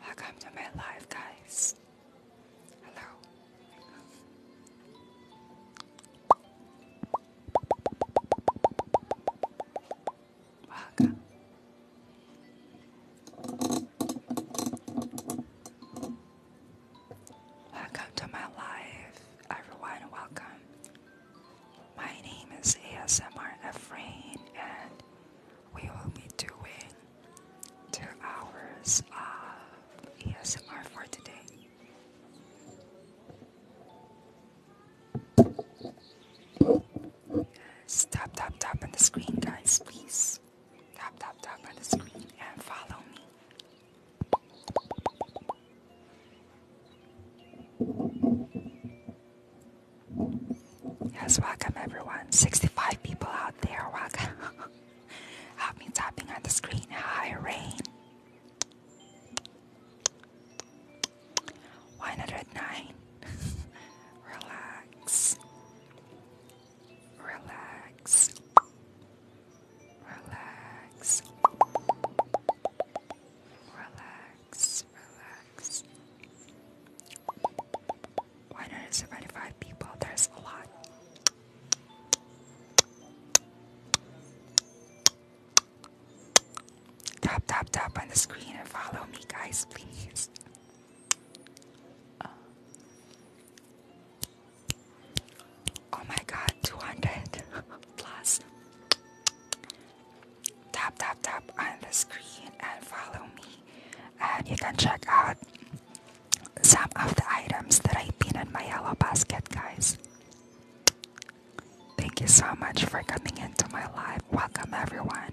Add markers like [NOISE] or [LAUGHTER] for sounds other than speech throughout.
Welcome to my life, guys. Hello. Oaxaca. Welcome to my life, everyone. Welcome. My name is ASMR Efrain, and we will be doing two hours of ASMR for today. Stop, tap, tap on the screen, guys, please. Tap, tap, tap on the screen and follow me. Yes, welcome everyone. 65 people out there. Welcome. I've [LAUGHS] tapping on the screen. Hi, Rain. 109. Relax. Relax. Relax. Relax. Relax. 175 people, there's a lot. Tap, tap, tap on the screen and follow me, guys, please oh my god, 200 [LAUGHS] plus. Tap, tap, tap on the screen and follow me. And you can check out some of the items that I have been in my yellow basket, guys. Thank you so much for coming into my life. Welcome, everyone.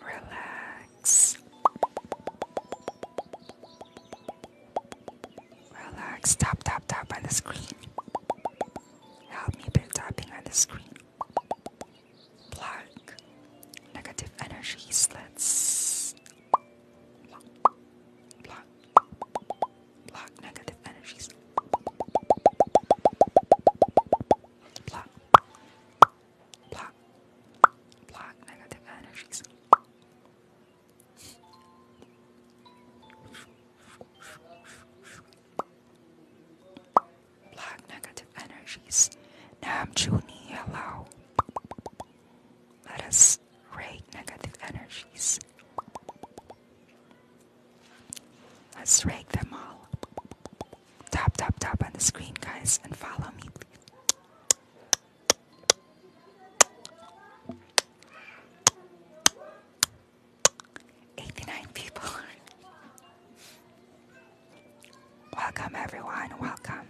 relax, relax. Stop, tap, tap on the screen. Help me by tapping on the screen. Plug negative energy slits. Block, block, block negative energies block, block negative energies. Block negative energies. Nam Juni allow. Let us raid negative energies. Let's rake them all. Tap, tap, tap on the screen, guys, and follow me. 89 people. welcome, everyone. Welcome.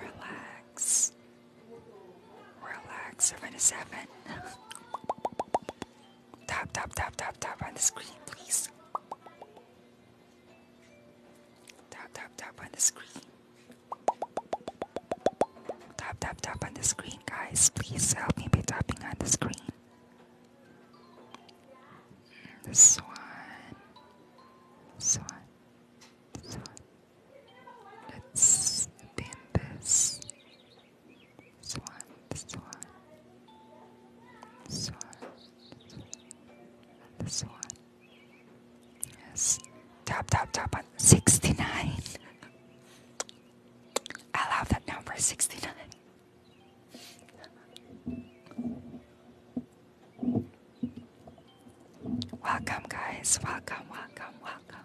Relax. Relax, seven to seven. tap, tap, tap, tap, tap on the screen, please. Tap, tap, tap on the screen. Tap, tap, tap on the screen, guys. Please help me by tapping on the screen. This one. This one. This one. Let's dim this. Swan, swan, swan, the swan. Yes, top, top, top on 69. I love that number 69. Welcome, guys. Welcome, welcome, welcome.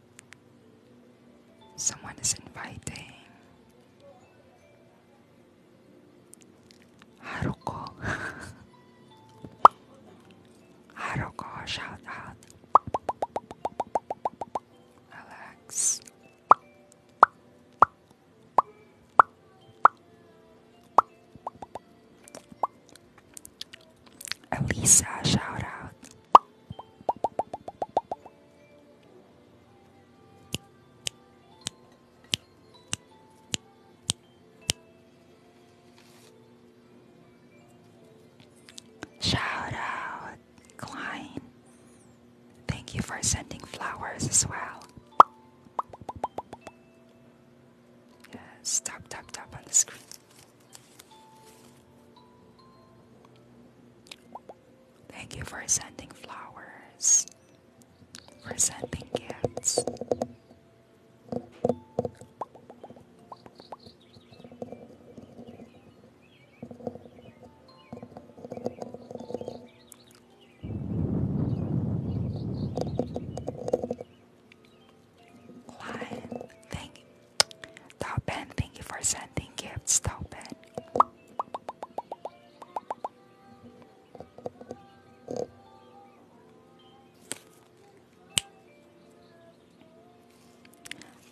Someone is inviting. Haruko. [LAUGHS] Haruko, shout out. Alex. Elisa, shout out. Shout Klein. Thank you for sending flowers as well. Yes, tap, tap, on the screen. Thank you for sending flowers, for sending gifts. Klein, thank Tauben, thank you for sending gifts, Tauben.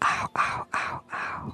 Ow, ow, ow, ow.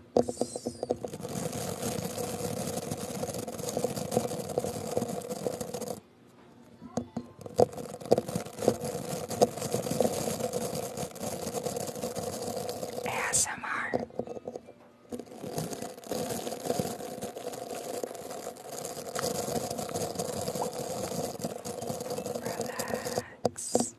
ASMR. Relax relax.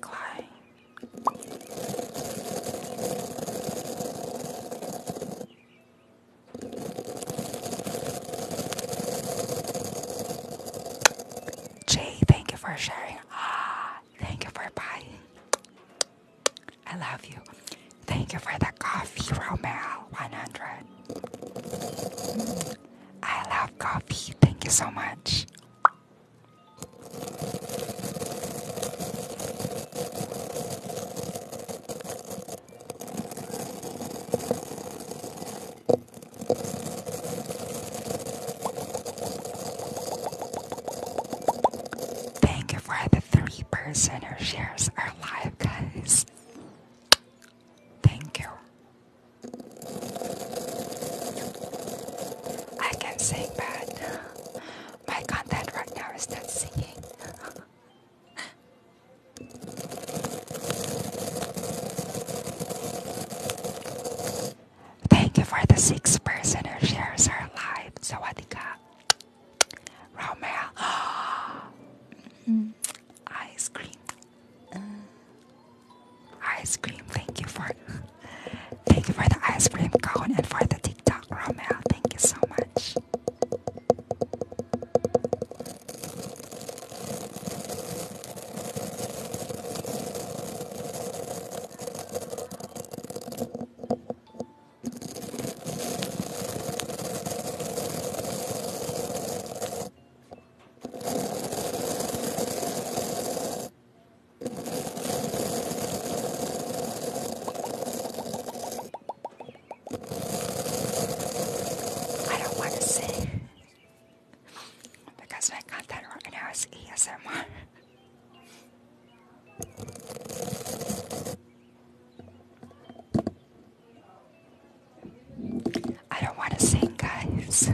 Klein. J, thank you for sharing. Ah, thank you for buying. I love you. Thank you for the coffee, Romeo. 100. Mm, I love coffee. Thank you so much. Thank you for the three person who shares our live, guys. Thank you. I can sing, but my content right now is not singing. [LAUGHS] Thank you for the sixth person who shares her life. Sawadika. Romel. mm, ice cream. Uh, ice cream. Thank you for thank you for the ice cream cone and for the TikTok, Romel. Thank you so much. I don't want to say because I my content right now is ESMR. I don't want to sing, guys.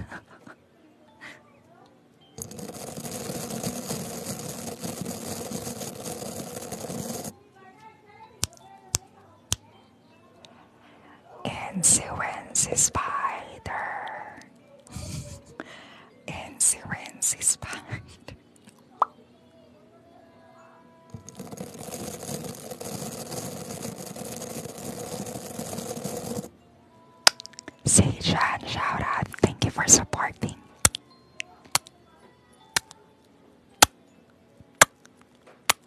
Insurance spider. [LAUGHS] Insurance spider. Sejan, shout out. Thank you for supporting.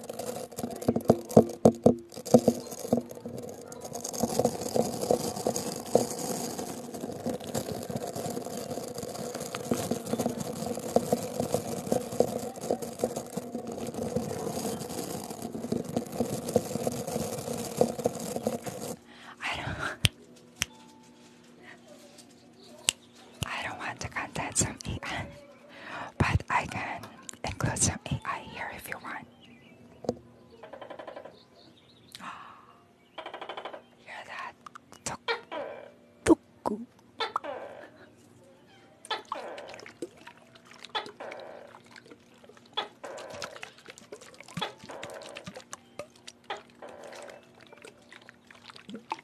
[LAUGHS] I don't want to contact some but I can include some AI here if you want. [GASPS]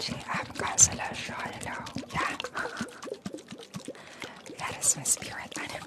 Gee, I'm Consular Hello. Yeah. that is my spirit animal.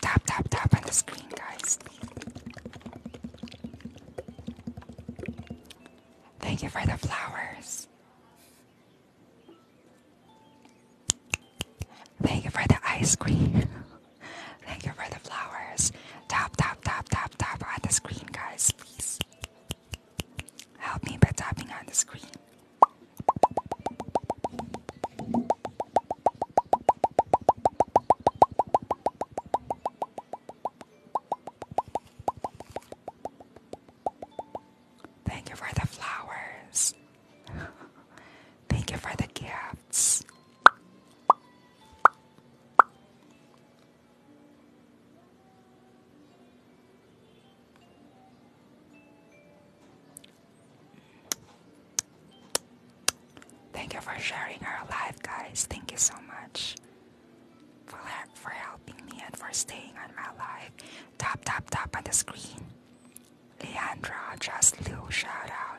Tap, tap, tap on the screen, guys. Thank you for the flowers. Thank you for the ice cream. [LAUGHS] Thank you for the flowers. Tap, tap, tap, tap, tap on the screen, guys, please. Help me by tapping on the screen. Thank you for the flowers. Thank you for the gifts. Thank you for sharing our life, guys. Thank you so much for, for helping me and for staying on my life. Top, top, top on the screen. Leandra, just Lou, shout out.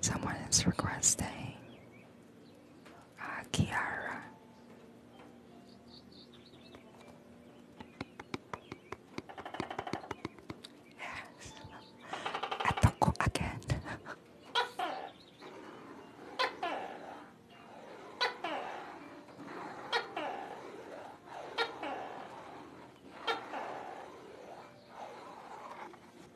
Someone is requesting Kiara. Yes. Atoko again.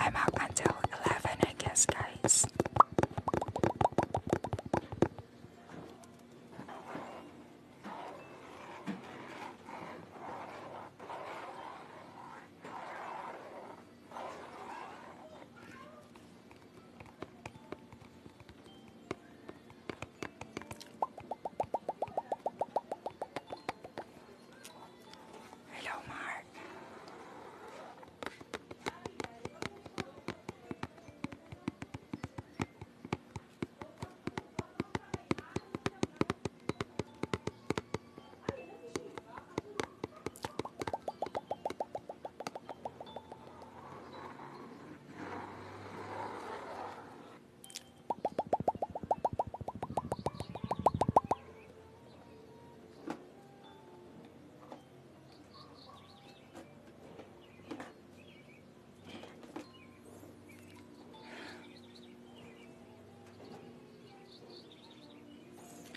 I'm up until 11, I guess, guys. Hello, Mark.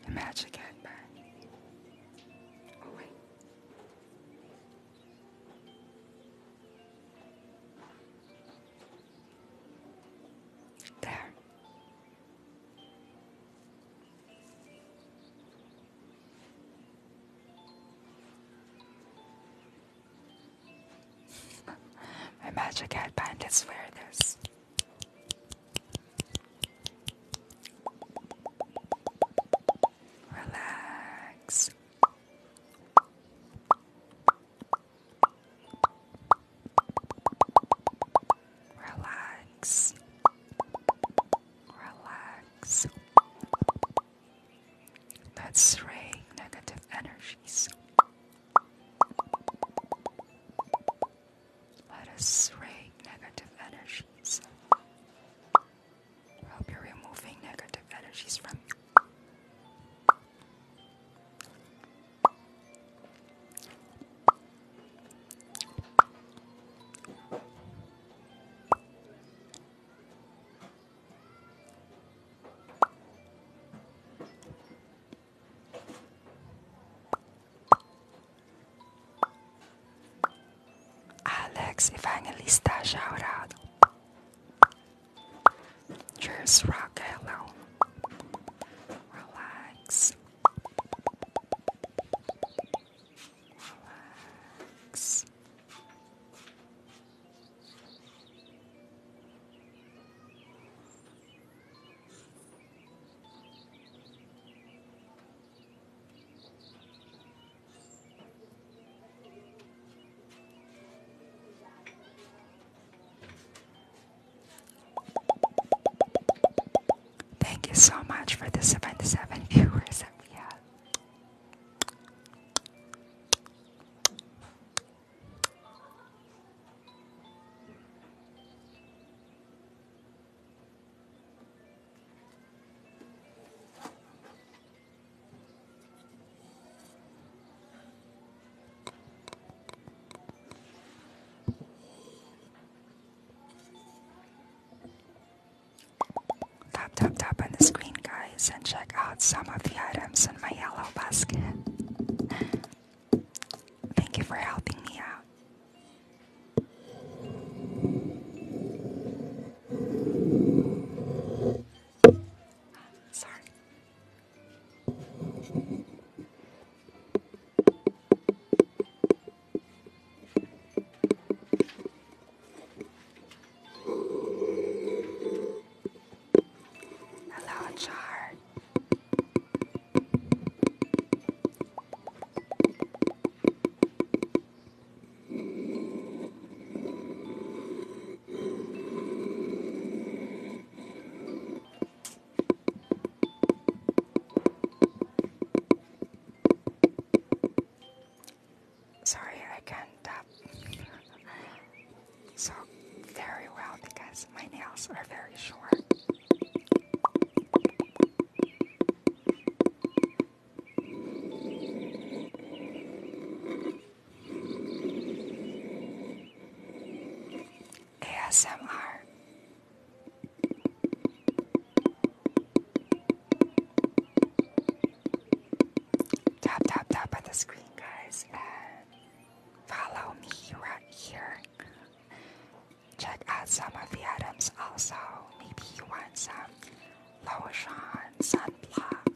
A magic headband. Oh wait. There. My magic headband is where this. Relax. Relax. Relax. Let's drain negative energies. Let us drain negative energies. Hope you're removing negative energies from you. Alex Evangelista, shout out. Just rock alone. Relax. Relax. Relax. Thank you so much for the 77 viewers that we had. Tap, tap, tap on the screen, guys, and check out some of the items in my yellow basket. Thank you for helping me out. Sorry. Hello, Char. Sorry, I can't tap so very well because my nails are very short. ASMR. Tap, tap, tap on the screen, guys, follow me right here. Check out some of the items also. Maybe you want some lotion, sunblock,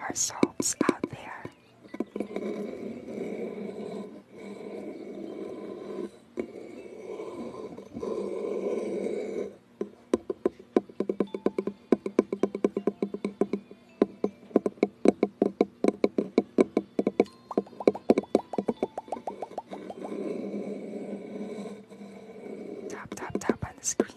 our souls out there. Tap, tap, tap on the screen.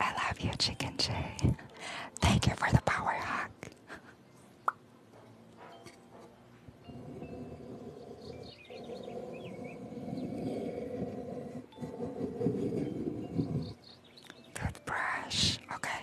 I love you, Chicken Jay. Thank you for the power hug. Toothbrush, okay.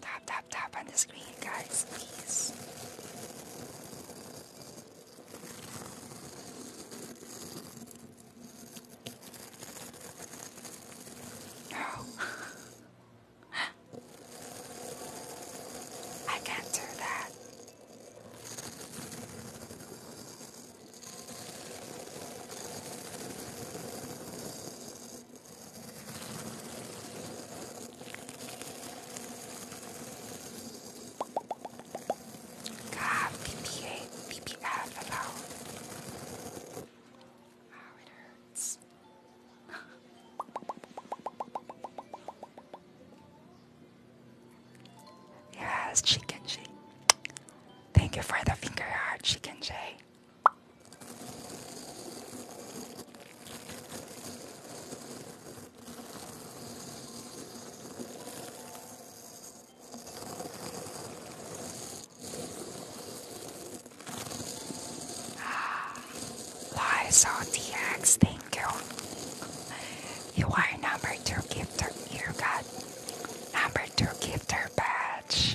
Tap, tap, tap on the screen, guys, please. No. [LAUGHS] I can't do that. God, BPA, BPF it hurts. [LAUGHS] yes, Chicken J. Thank you for the finger heart, Chicken J. Lies on thank you. You are number two gifter. You got number two gifter badge.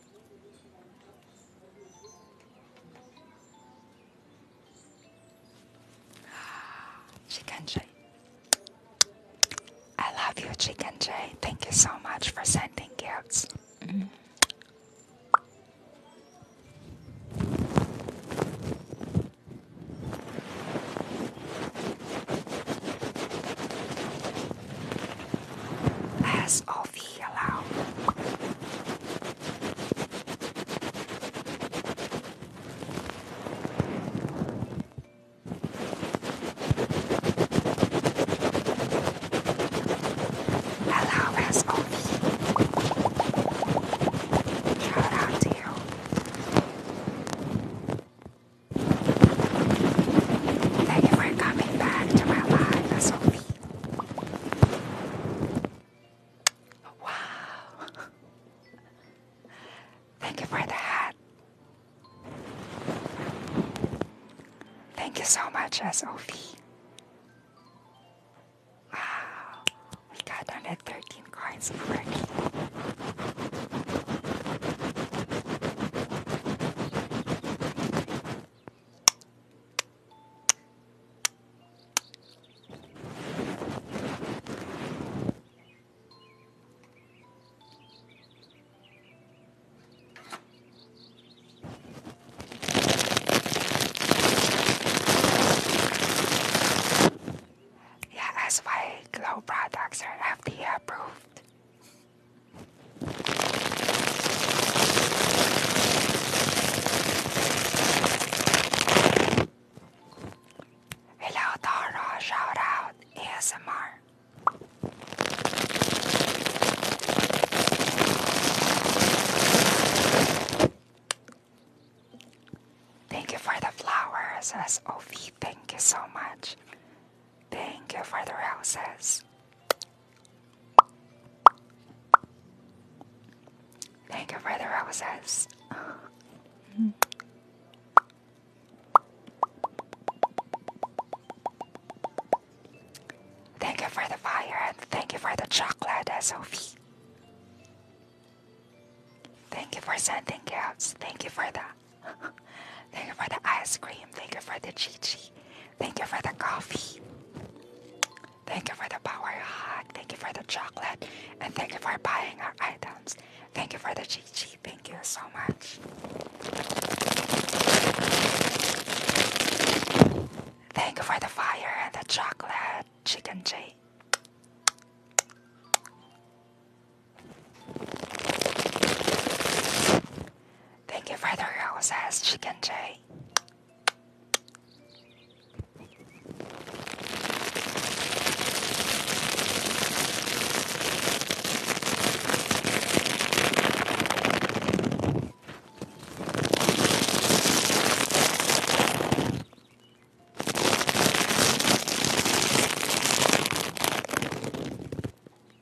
[SIGHS] Chicken Jay. I love you, Chicken Jay. Thank you so much for sending gifts. Less of the allow. Hello, that's Shout out to you. Thank you for coming back to my life, Sophie. Wow. Thank you for the Thank you so much, SOV. Wow, we got 113 coins already. Yeah, SY Glow products are FDA approved. Hello, Tara. Shout ASMR. Thank you for the flowers, SOV. Thank you so much. Thank you for the roses. Thank you for the roses. Thank you for the fire and thank you for the chocolate, Sophie. Thank you for sending gifts. Thank you for that. Thank you for the ice cream. Thank you for the chichi. Thank you for the coffee. Thank you for the power hug. Thank you for the chocolate. And thank you for buying our items. Thank you for the chichi. Thank you so much. Thank you for the fire and the chocolate chicken jay. Thank you for the roses, Chicken Jay.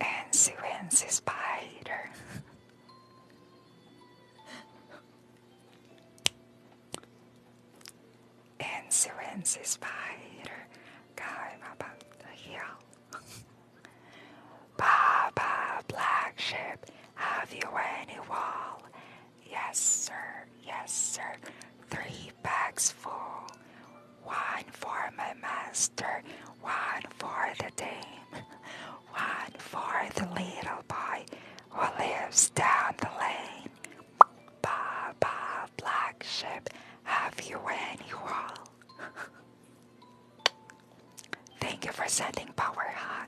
and she wins a spider. and she wins a spider. Going up the hill. Baba, black sheep, have you any wool? Yes, sir. Yes, sir. Three bags full. One for my master, one for the dame, [LAUGHS] one for the little boy who lives down the lane. Ba ba, black sheep, have you any wool? [LAUGHS] Thank you for sending power hot.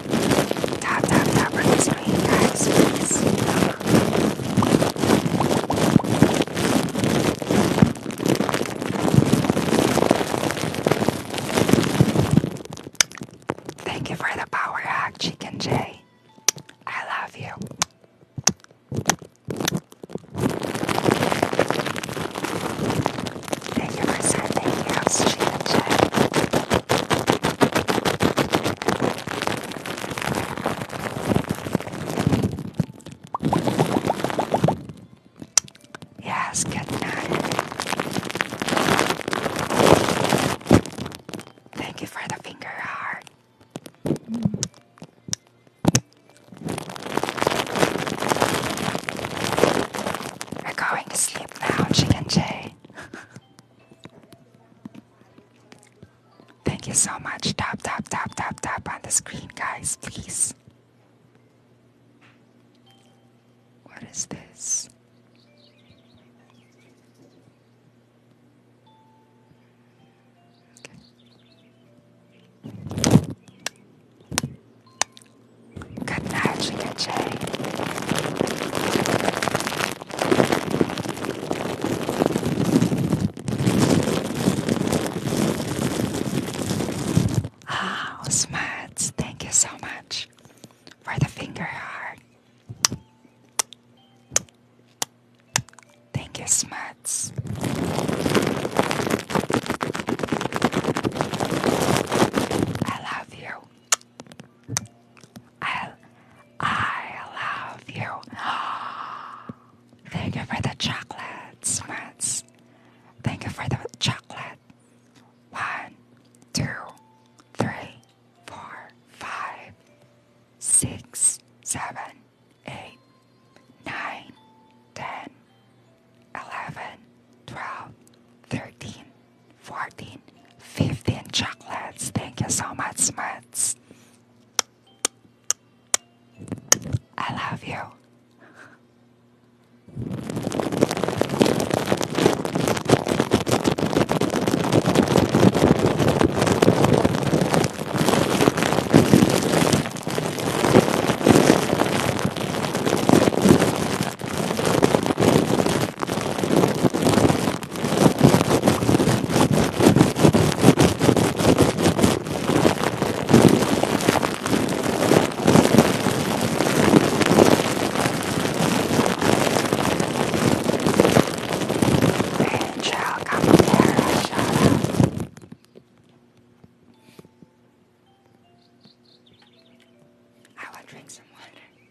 Tap, tap, tap on guys, Thank you for the power hack, Chicken Jay. I love you. Thank you for sending us, Chicken Jay. Yes, good night. Thank you for the finger heart. We're going to sleep now, Chicken Jay. [LAUGHS] Thank you so much. Tap, tap, tap, tap, tap on the screen, guys, please. What is this? Good night, Chica ah, Oh, Smuts, thank you so much for the finger heart. Thank you, Smuts. I love you. I, I love you. [GASPS] Thank you for the chocolate, Smuts. Thank you for the chocolate. One, two, three, four, five, six, seven, eight, nine, ten, eleven, twelve, thirteen. 14, 15 chocolates. Thank you so much, Smuts. I love you. Cheryl Capoeira, shout out. I will drink some water.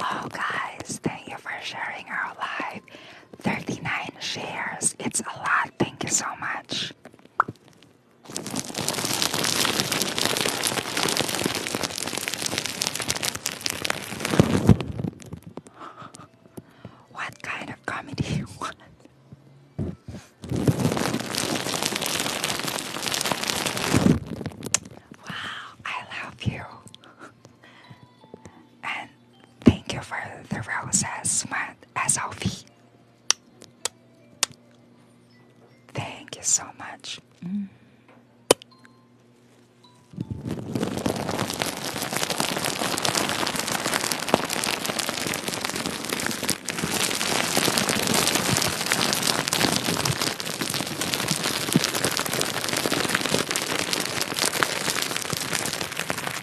Oh, guys, thank you for sharing our live. 39 shares. It's a lot. Thank you so much. What kind of comedy you want? Wow, I love you. And thank you for the roses, man, SLV. Thank you so much. Mm.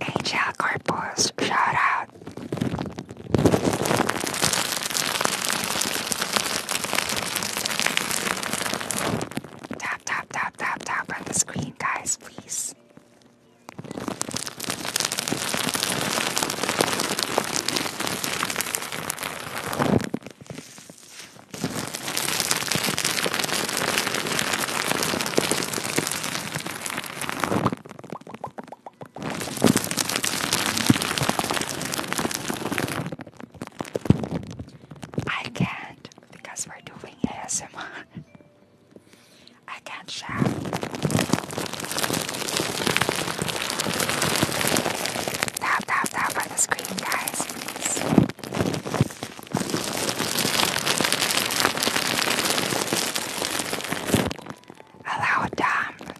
HL Corpus, shout out. Tap, tap, tap, tap, on the screen, guys, please. I can't because we're doing ASMR. [LAUGHS] I can't shout. Tap, tap, tap on the screen, guys, please a loud dump.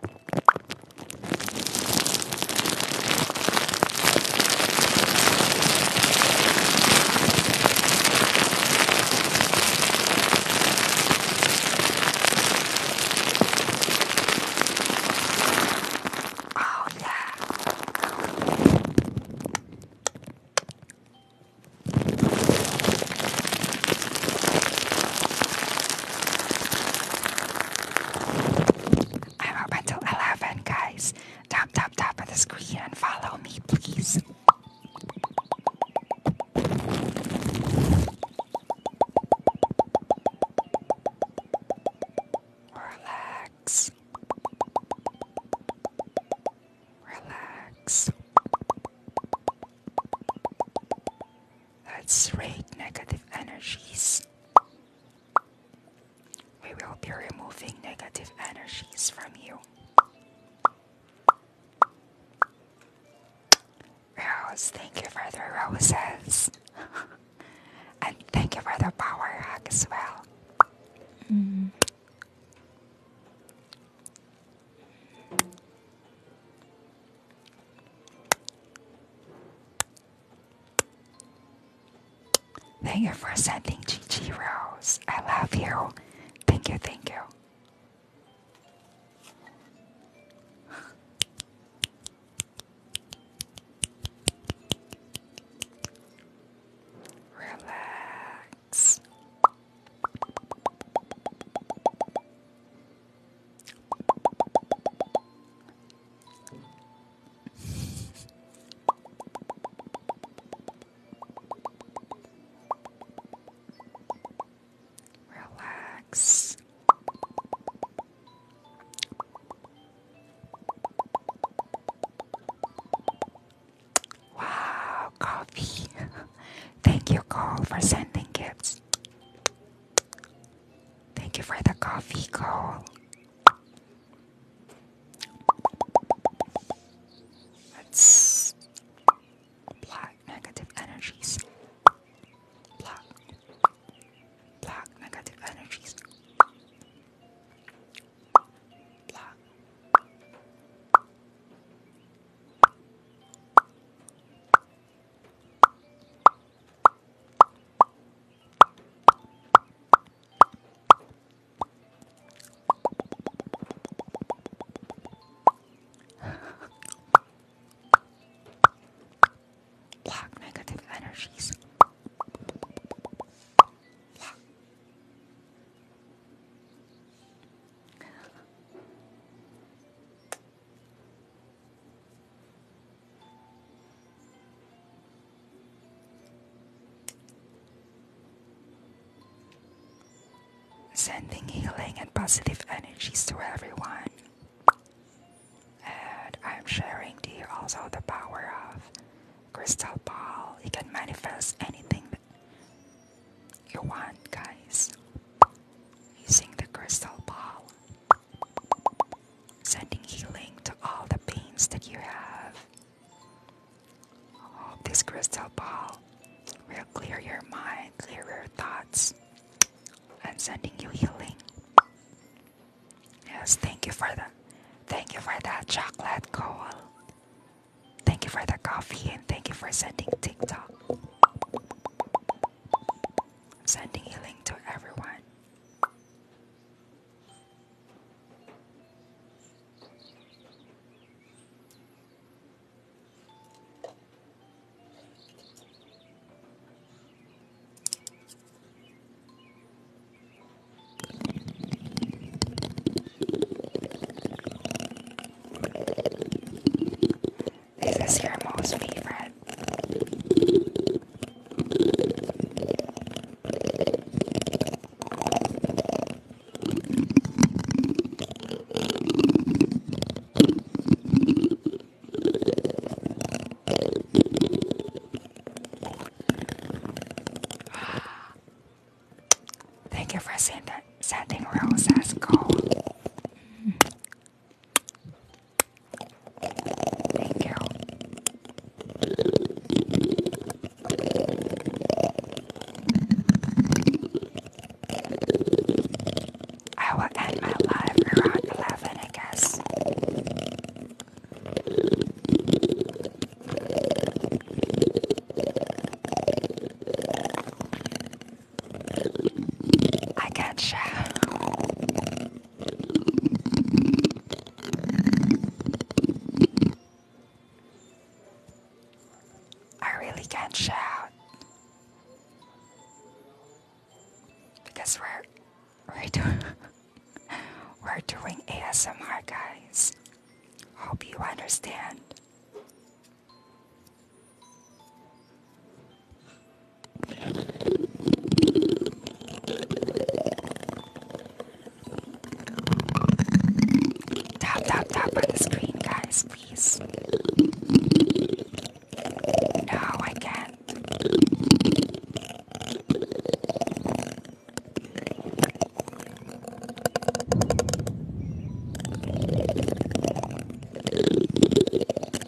Oh yeah. I'm up until 11, guys. Tap, tap, tap at the screen and follow me, please. Relax. Relax. Let's raid negative energies. We will be removing negative energies from you. Rose, thank you for the roses. [LAUGHS] and thank you for the power hug as well. Mm. Thank you for sending Gigi Rose. I love you. Thank you, thank you. Relax. Relax. Wow, coffee. [LAUGHS] Thank you, Cole, for sending gifts. Thank you for the coffee call. let negative energies. Block. Block negative energies. Block. Block negative energies. Block. Sending healing and positive energies to everyone. And I'm sharing to also the power of crystal ball. You can manifest anything you want, guys. Using the crystal ball, sending healing to all the pains that you have. this crystal ball will clear your mind, clear your thoughts, and sending you healing. Yes, thank you for the, thank you for that chocolate coal. Thank you for the coffee and thank you for sending TikTok sending a link to everyone. This Is your most favorite? Thank you for saying that sad thing, sending roses gold. Thank you. I will end my life around 11, I guess. I gotcha. I really can't shout because we're we're doing [LAUGHS] we're doing ASMR, guys. Hope you understand. Tap, tap, tap on the screen, guys, please. No, I can't.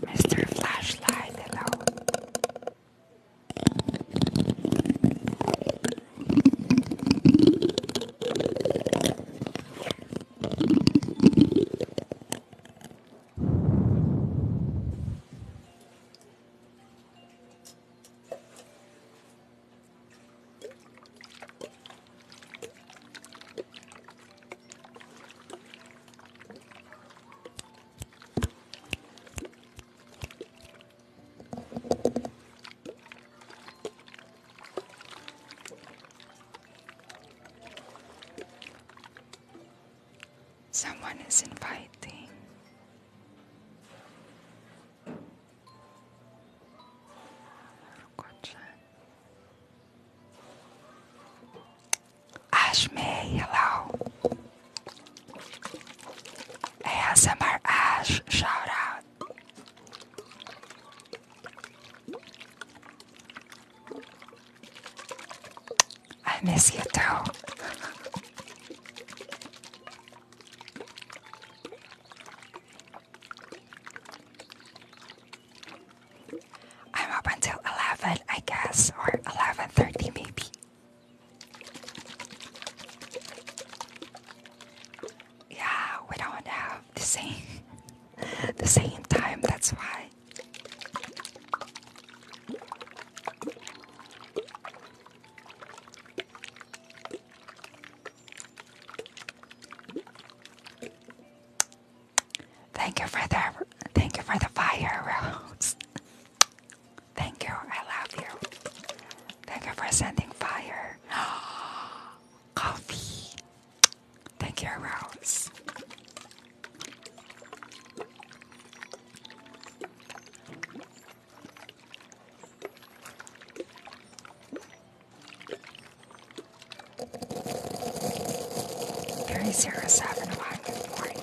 Mr. Flashlight, hello. Someone is inviting Ashmi, hello. ASMR Ash, shout out. I miss you too. [LAUGHS] I'm up until 11, I guess, or 11.30 maybe. Yeah, we don't have the same, [LAUGHS] the same time, that's why. Thank you for the thank you for the fire rose. thank you, I love you. Thank you for sending fire. [GASPS] Coffee. Thank you, Rose. Three zero seven one. Good morning.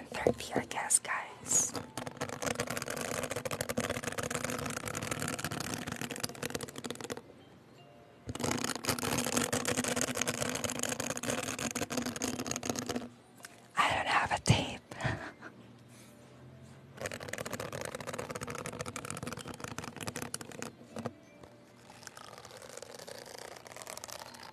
I'm thirsty, I guess, guys. I don't have a tape.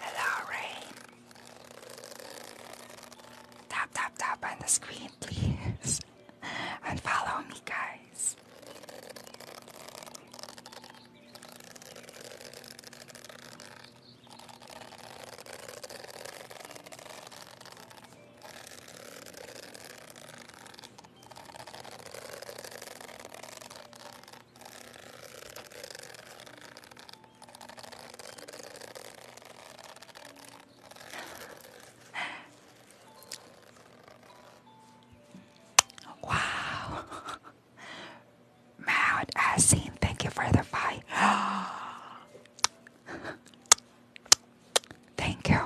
Hello, Rain. Tap, tap, tap on the screen, [LAUGHS] please. and follow me, guys. Wow. Mount Asin, thank you for the fight. [GASPS] thank you.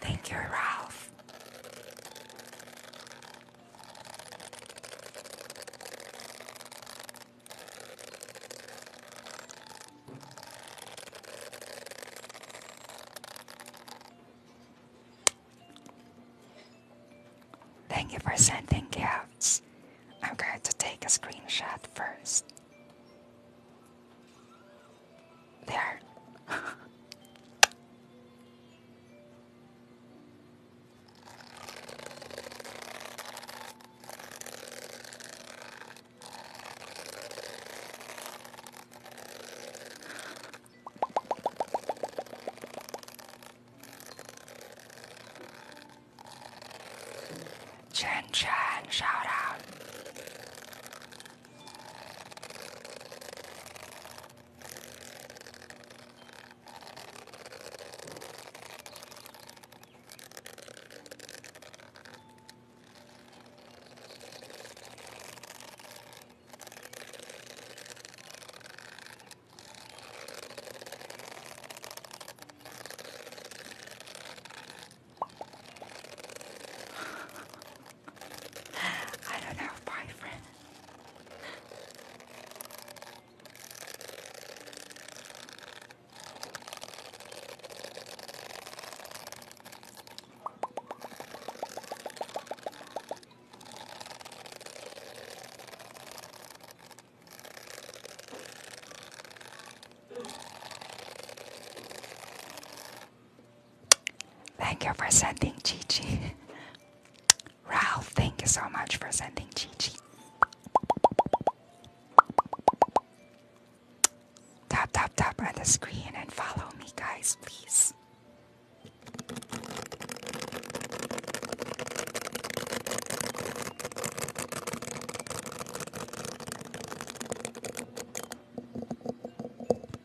Thank you, Ralph. Thank you for sending gifts. I'm going to take a screenshot first. There. [LAUGHS] Chen Chan, shout out. I don't know, bye friend. Thank you for sending Gigi. Ralph, thank you so much for sending Gigi. Tap, tap, tap on the screen and follow me, guys, please.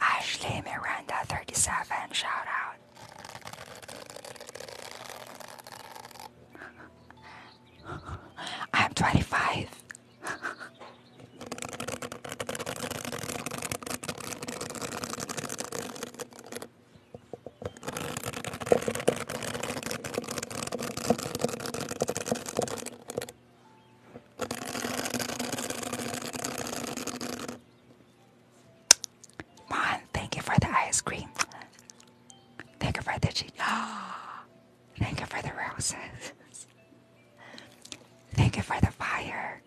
Ashley Miranda 37 shout out. [LAUGHS] I'm 25. [LAUGHS] Mon, thank you for the ice cream. Thank you for the cheese. [GASPS] Ah, thank you for the roses. [LAUGHS] Thank you for the fire.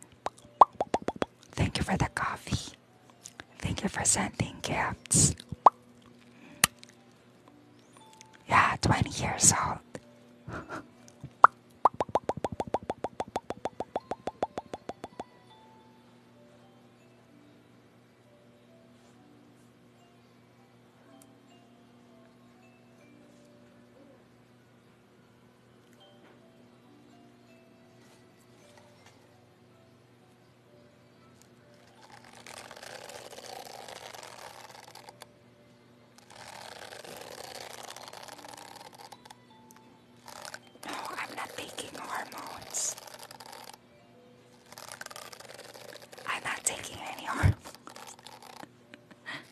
Thank you for the coffee. Thank you for sending gifts. Yeah, 20 years old. No, oh, I'm not taking hormones. I'm not taking any hormones. [LAUGHS]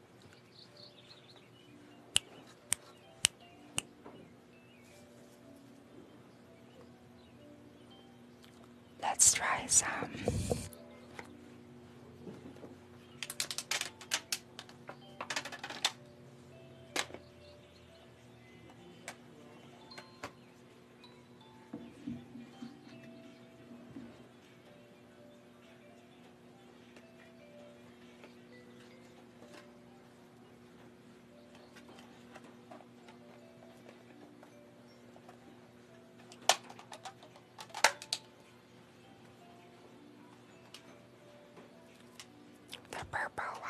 Let's try some. The purple one.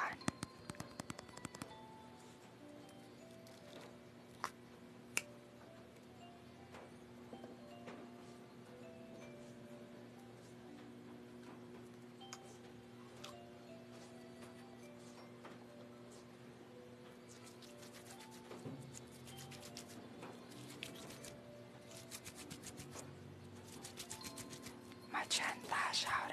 Magenta shout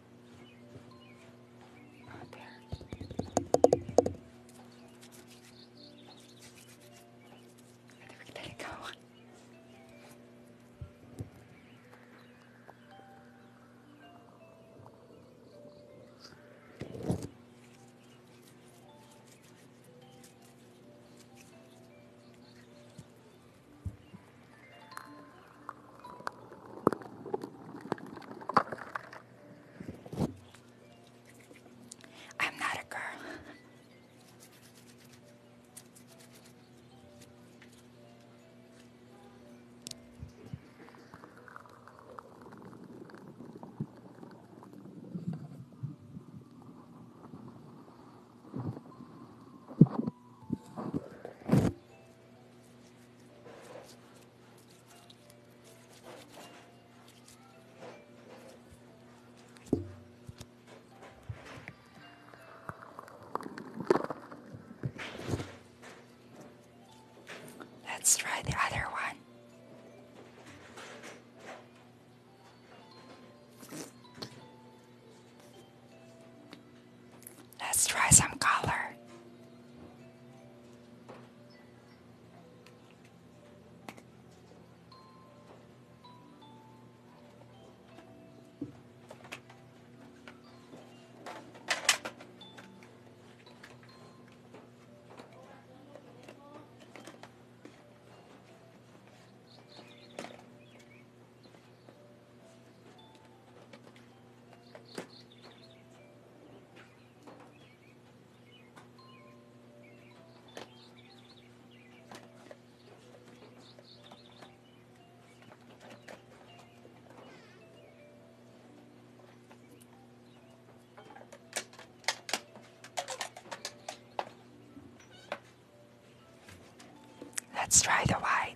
Right there. I think we can let it go. I'm not a girl. Let's try the other one. Let's try some color. Let's try the wine.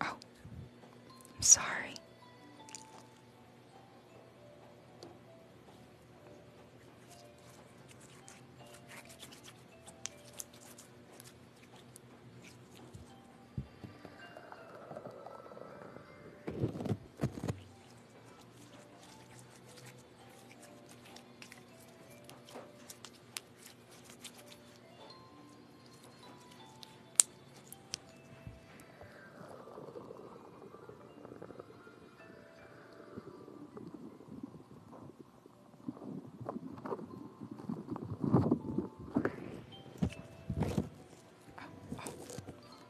Oh, I'm sorry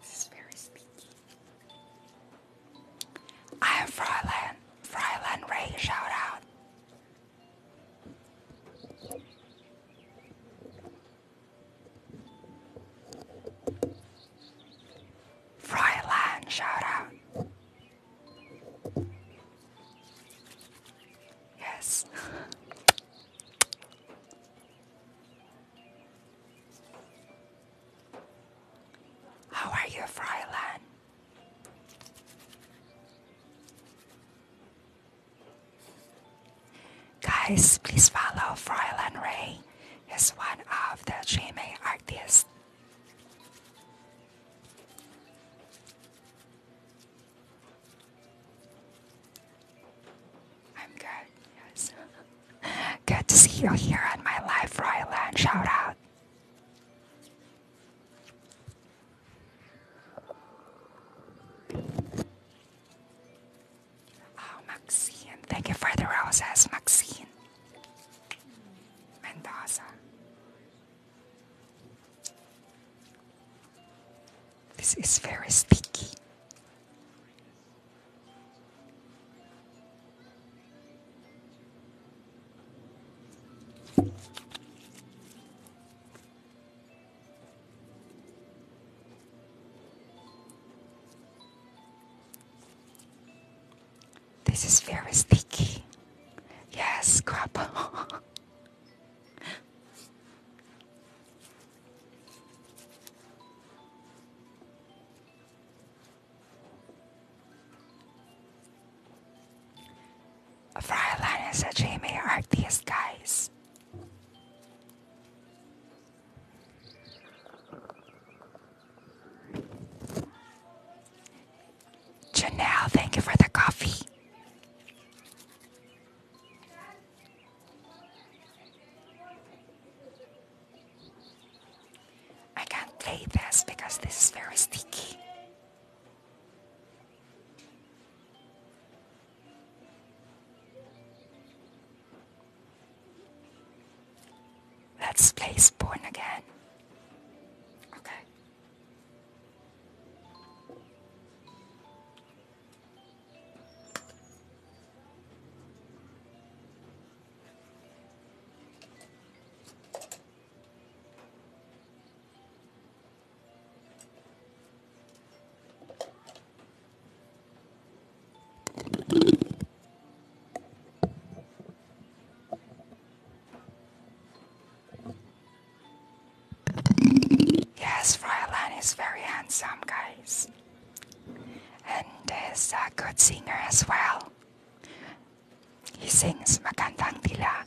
this is very speaky. I am Fryland. Fryland Ray, shout out. Fryland, shout out. Yes. [LAUGHS] How are you, Fryland? Guys, please follow Fräulein Ray. He's one of the Chime artists. I'm good, yes. [LAUGHS] good to see you here at my live Fräulein. Shout out. Oh, Maxine. Thank you for the roses, Maxine. Mendoza. This is very sticky. This is very sticky. Yes, crap. Freilein and Sajime are these guys. Janelle, thank you for the coffee. I can't play this because this is very sticky. Let's play Spawn again. Okay. Yes, Freiland is very handsome, guys. And is a good singer as well. He sings Magandang Dilak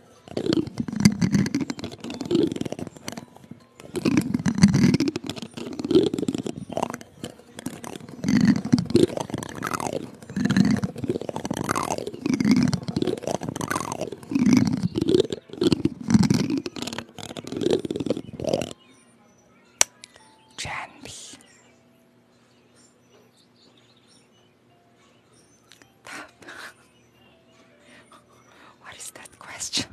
Janvi what is that question?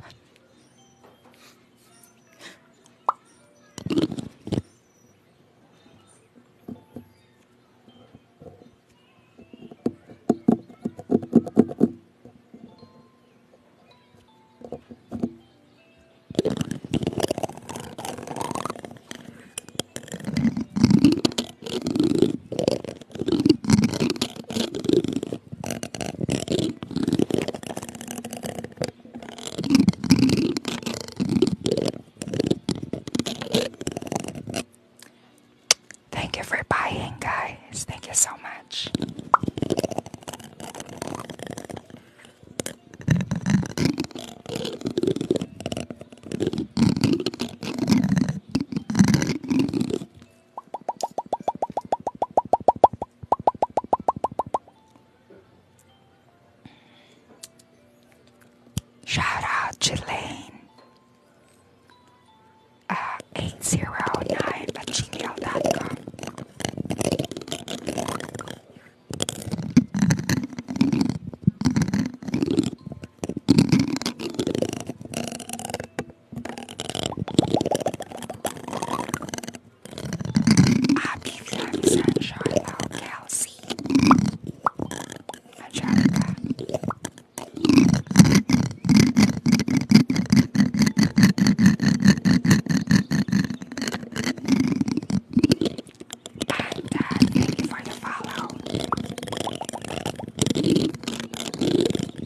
Thank you for buying, guys. Thank you so much. Shout out Jelaine. Uh, 809 at gmail.com. I'll give them sunshine, I'll Kelsey. Angelica. And uh, thank you for the follow.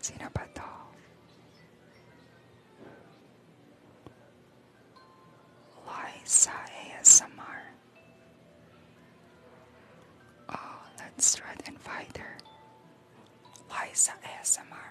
Sino ba Liza ASMR. Oh, let's try to Liza ASMR.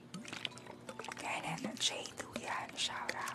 يعني احنا نشيد وياها نشعرها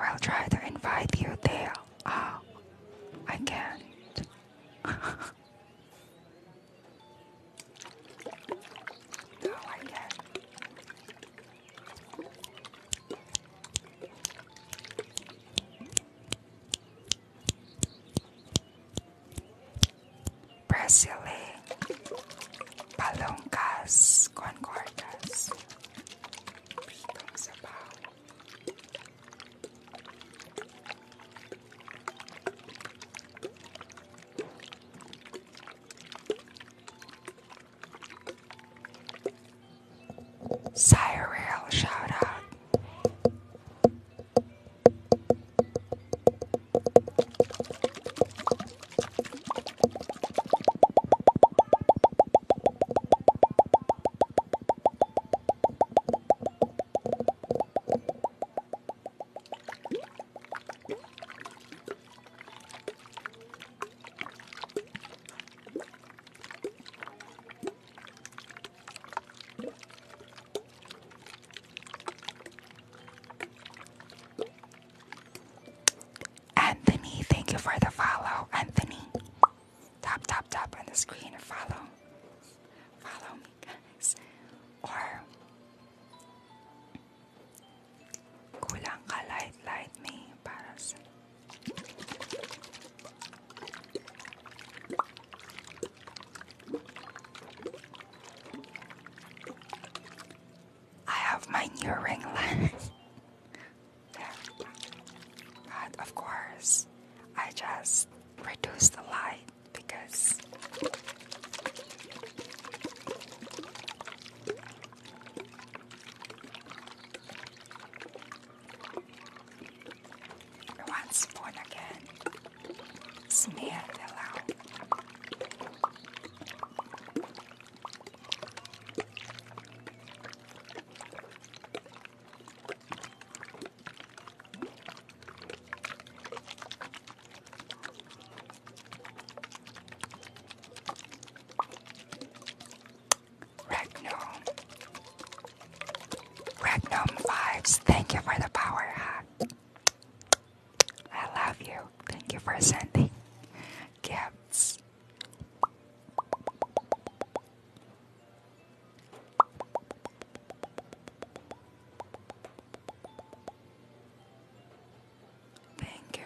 I will try to invite you there. Oh, I can't. [LAUGHS] I like Brasile, Palongkas, Concordas, Sireal shout out. Anthony, thank you for the follow. Anthony, tap, tap, tap on the screen. Follow. Follow me, guys. Or Kulang ka light-light me para sa... I have my new ring light. [LAUGHS] But of course, I just reduced the light because once born again, smear the love. Regnum. Regnum vibes. Thank you for the power hat. I love you. Thank you for sending gifts. Thank you.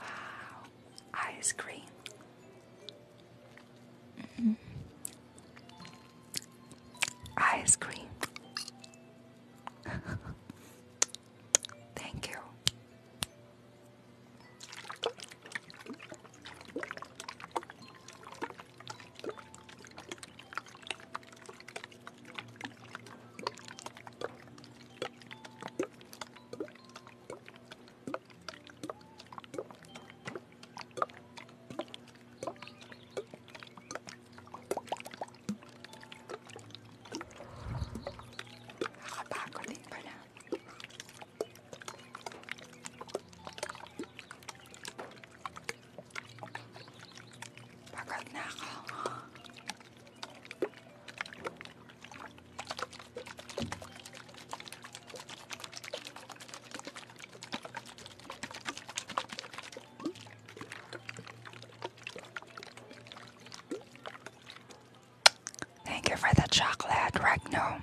Wow, ice cream. Mm-hmm. Ice cream. [LAUGHS] Thank you. Nakakapagod din eh, pala. Pagod na ako. Thank you for the chocolate, Regno.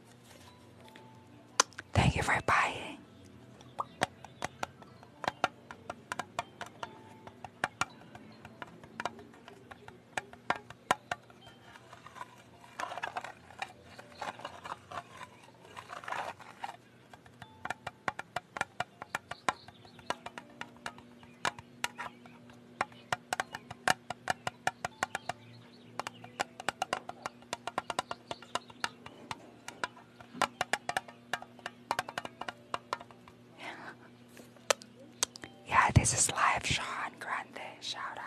Thank you for buying yeah, this is live, Sean Grande. Shout out.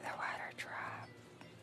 The water drop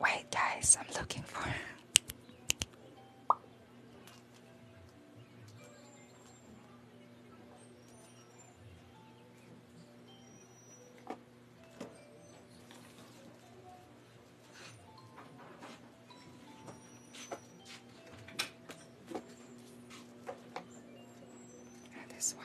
Wait, guys, I'm looking for. [LAUGHS] And this one.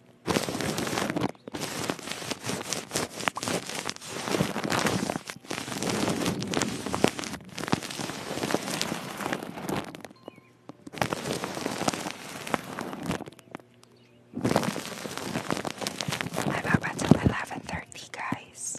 I'm up until 11.30, guys.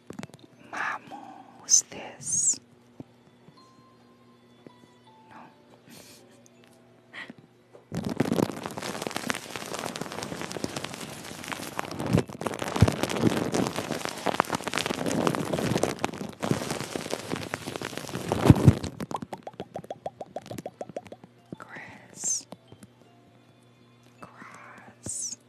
Mamu, this? No. Grass, grass,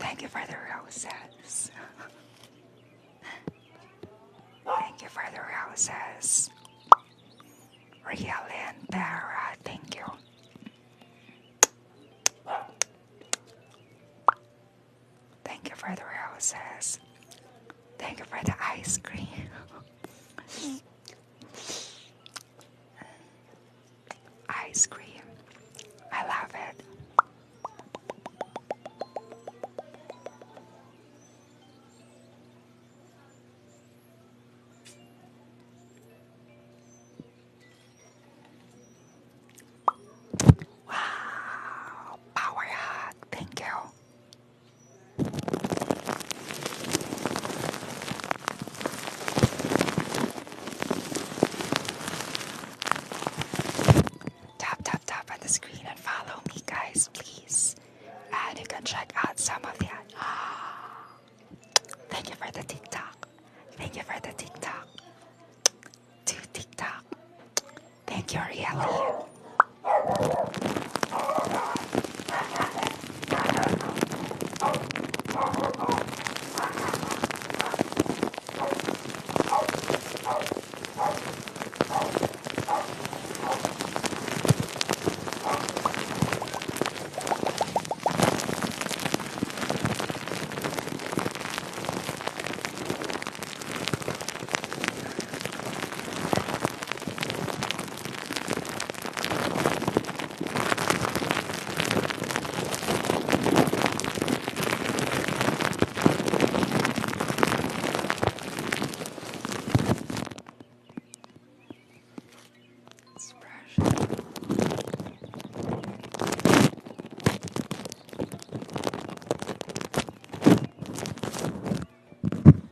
Thank you for the roses. Thank you for the roses. Real and Tara, thank you. Thank you for the roses. Thank you for the ice cream. ice cream. I love it. Wow, power hug. Thank you. Tap, tap, tap on the screen and follow me, guys, please. And you can check out some of the. Ah, thank you for the TikTok. Thank you for the TikTok. To TikTok. Thank you, Arielle. It's fresh.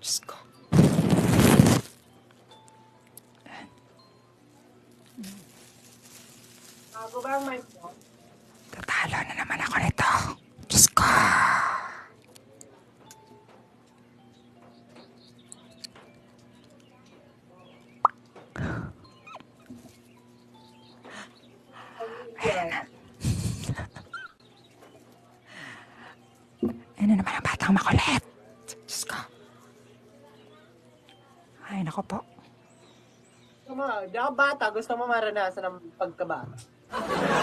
Diyos ko. Bago ba ang mic mo? Tatalo na naman ako nito. Diyos ko. Ayan na. [LAUGHS] Ano naman ang batang makulit? Diyos ko. Ay, nako po. Kama, di ako bata. Gusto mo maranasan ang pagkaba. [LAUGHS]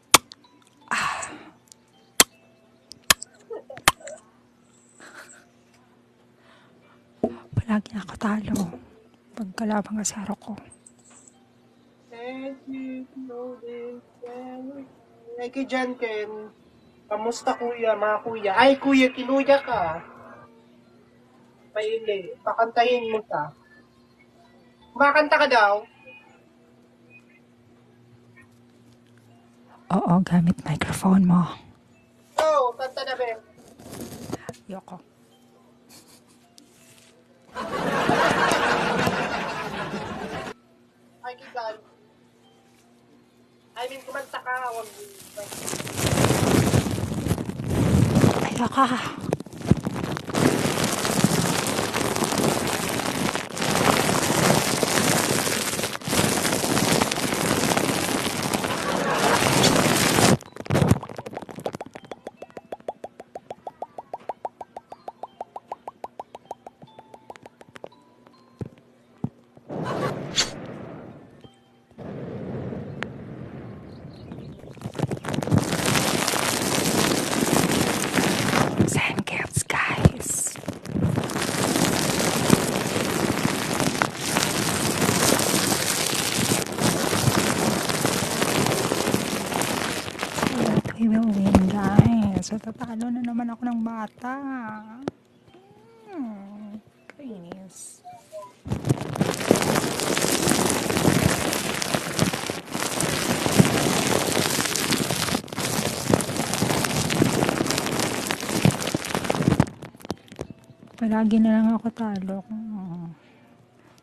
Palagi nakatalo pag kalabang asaro ko. Ay, kay Jan Ken. Kamusta kuya, mga kuya? Ay, kuya, kinuya ka. Paili, pakantayin mo ka. Kumakanta ka daw? Oo, gamit microphone mo. Oo, oh, kanta na ba? Yoko. Ay, kigal. I mean, kumanta ka. Huwag Ayoko. Ayoko. Sand cats, guys. Pinauwi dahil so tatalo na naman ako ng bata. Hmm, kainis. Palagi na lang ako talo. Oh.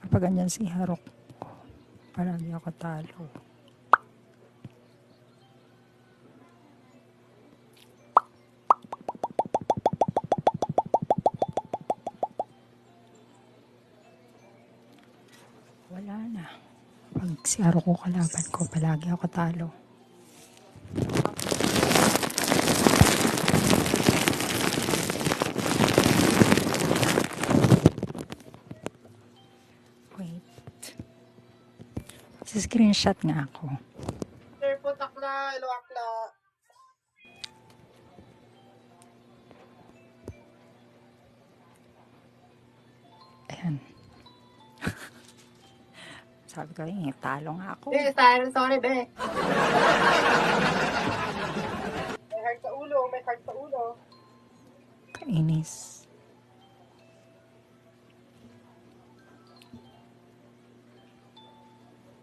Kapag ganyan si Harok, palagi ako talo wala na. Pag si Aro ko kalaban ko, palagi ako talo. Wait. Sa screenshot nga ako. Sir, po takla, ilo akla. Ayan. [LAUGHS] Sabi ko, eh, talo nga ako. Eh, sorry, sorry, be. may heart sa ulo, may heart sa ulo. Kainis.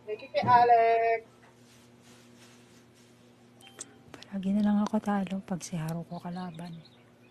Thank you kay Alex. Palagi na lang ako talo pag si Haro ko kalaban.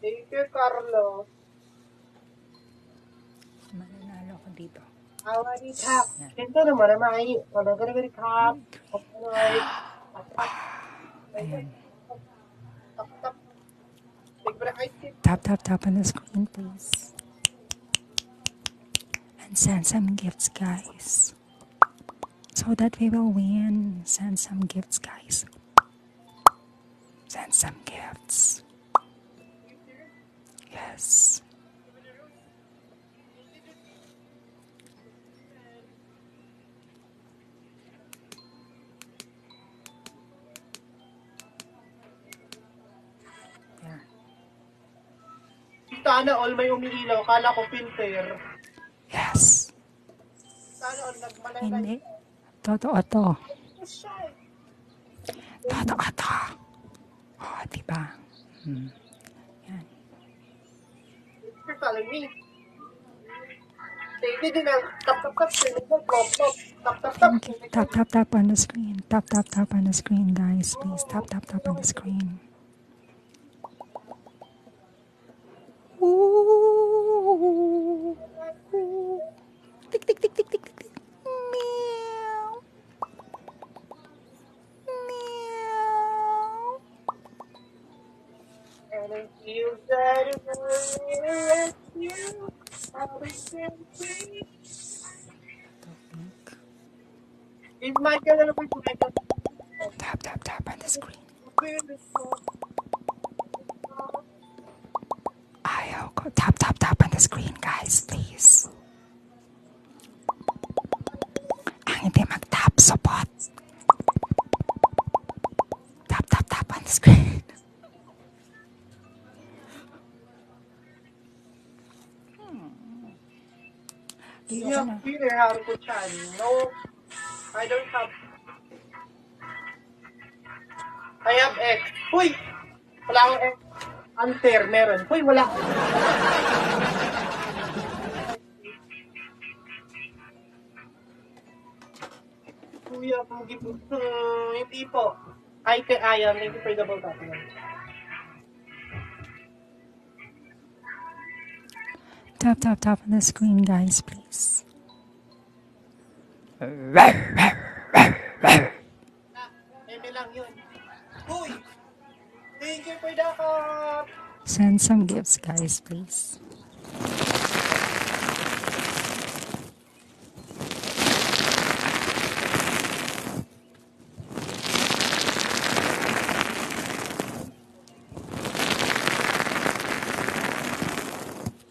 Thank you, Carlo. Mananalo ako dito. Awari ka. Yan. Kento na mo na mai. Panagaragari ka. Pagkanoy. Tapak. Ayan. Tapak. Bigbre ay Tap, tap, tap on the screen, please. And send some gifts, guys so that we will win. Send some gifts, guys. Send some gifts. Yes. Sana all may umiilaw. Kala ko filter. Yes. Hindi. Totoo to. Totoo to. oh, diba? Hmm. Yan. me. tap tap Tap tap tap on the screen. Tap tap tap on the screen, guys. Please tap tap tap on the screen. Ooh. Meow. Meow. And if you got it for me, I'll be free. It's my color with my Tap, tap, tap on the screen. I'll tap tap tap on the screen guys please Ang hindi mag-tap Tap tap tap on the screen [LAUGHS] hmm. Sino ang no I don't have. I have X. Uy! Wala akong X. Unfair, meron. Uy, wala. Kuya, pugi po. Hmm, hindi po. I can, I am. Thank you for double tapping. Tap, tap, tap on the screen, guys, please. Thank you for the Send some gifts, guys, please.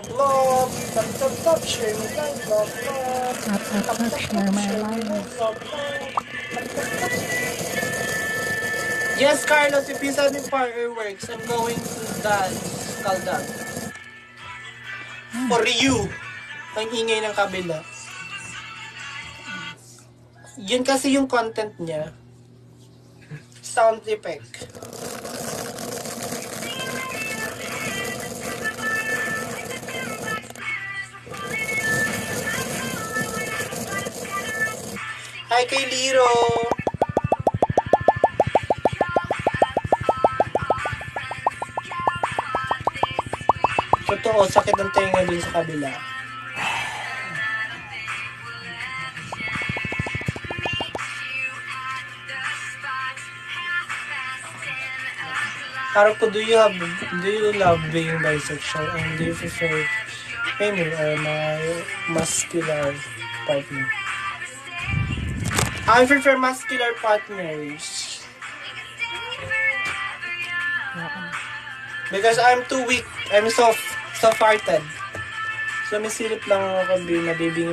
Vlog, vlog. Tap, tap, tap. Share my life. Vlog, vlog. Tap, tap, tap. Share my life. Vlog, vlog. Yes, Carlos, if you send me fireworks, I'm going to dance. Kaldan. For you. Ang ingay ng kabila. Yun kasi yung content niya. Sound effect. Hi kay Liro! Totoo, sakit ang tenga dun sa kabila. Haruko, do you have do you love being bisexual and do you prefer female or muscular partner? I prefer muscular partners. Because I'm too weak. I'm soft. Soft-hearted. So, may silip lang ako kung mabibingi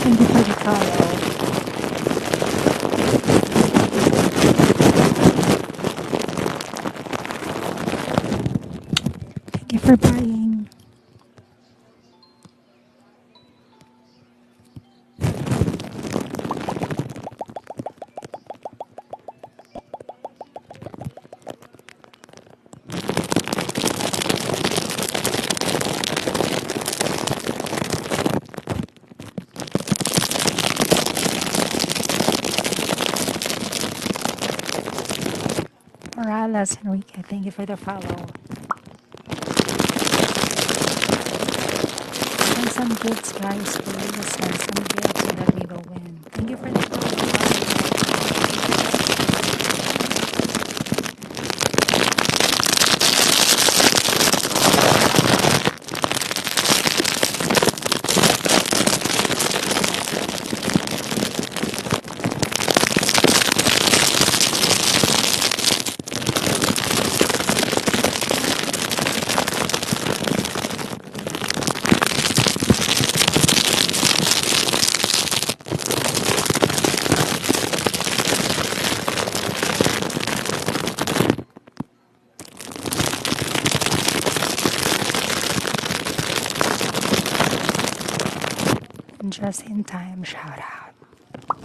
Thank you for the call. Thank you for buying. Morales Enrique, thank you for the follow. Send some gifts, guys. We will send some gifts so that we will win. Thank you for the just in time shout out.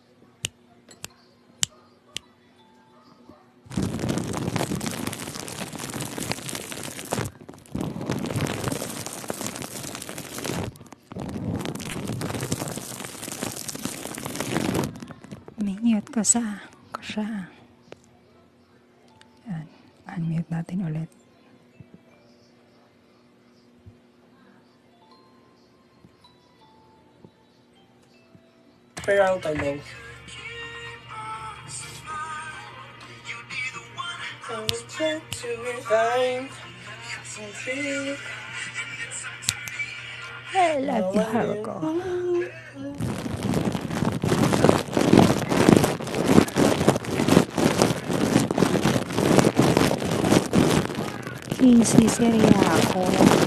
Minute ko sa ko siya. Yan. Unmute natin ulit. Figure out the link. I'm I love you, have a go. Quince seria agora.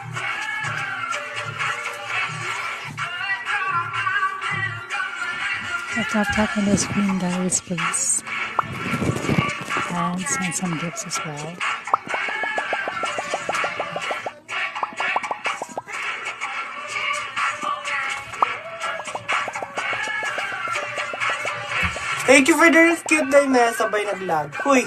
Tap tap tap on the screen guys, please. And send some gifts as well. Thank you for the cute na yung sabay nag-lag. Huy!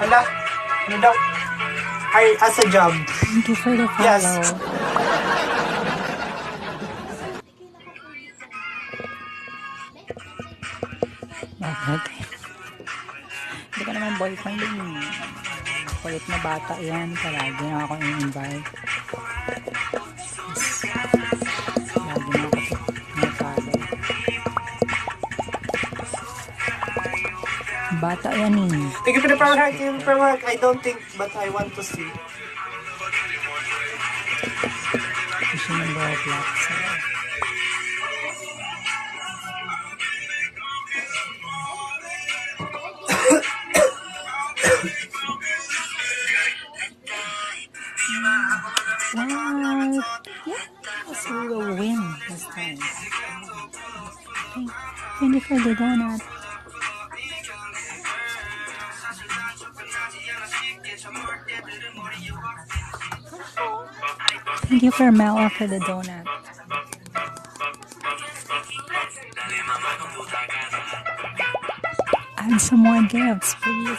Hala, ano daw? Ay, as a job. Thank you for the follow. Yes. Bakit? Hindi ka naman boyfriend yun. Eh. Kulit na bata yan. Palagi na akong in-invite. Yes. Lagi na ako. Bata yan eh. Thank you for the power heart. Thank you for the work. I don't think, but I want to see. [COUGHS] Let's see who will Thank you for the donut. Thank you for Mela for the donut. Add some more gifts, please.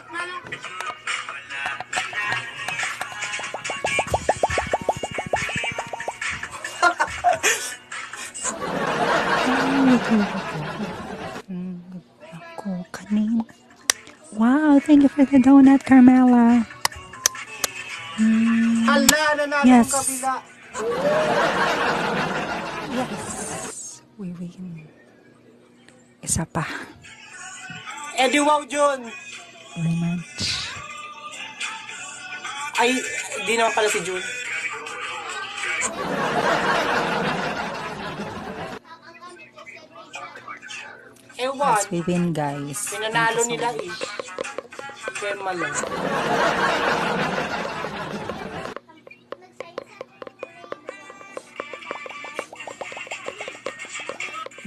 Wow, thank you for the donut, Carmela. Mm. yes. Isa pa. Eddie Wow Jun! Rematch. Ay, di naman pala si Jun. Ewan. Yes, we win, guys. Pinanalo so nila eh. Kaya malang. [LAUGHS]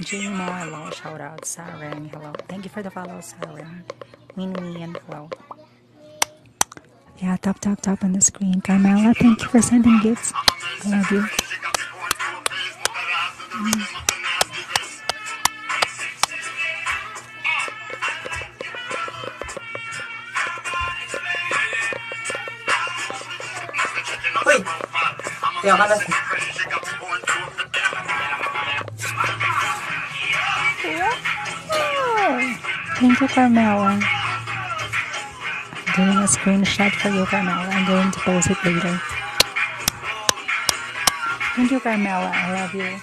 Jimo, hello. Shout out. Saren, hello. Thank you for the follow, Saren. Winnie, and hello. Yeah, top, top, top on the screen. Carmela, thank you for sending gifts. I love you. Mm. Wait. Ja, war das. Thank you, Carmela. I'm doing a screenshot for you, Carmela. I'm going to post it later. Thank you, Carmela. I love you.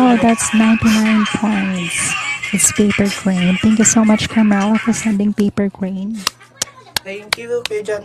Oh, that's 99 points. It's paper crane. Thank you so much, Carmela, for sending paper crane. Thank you, Kuya John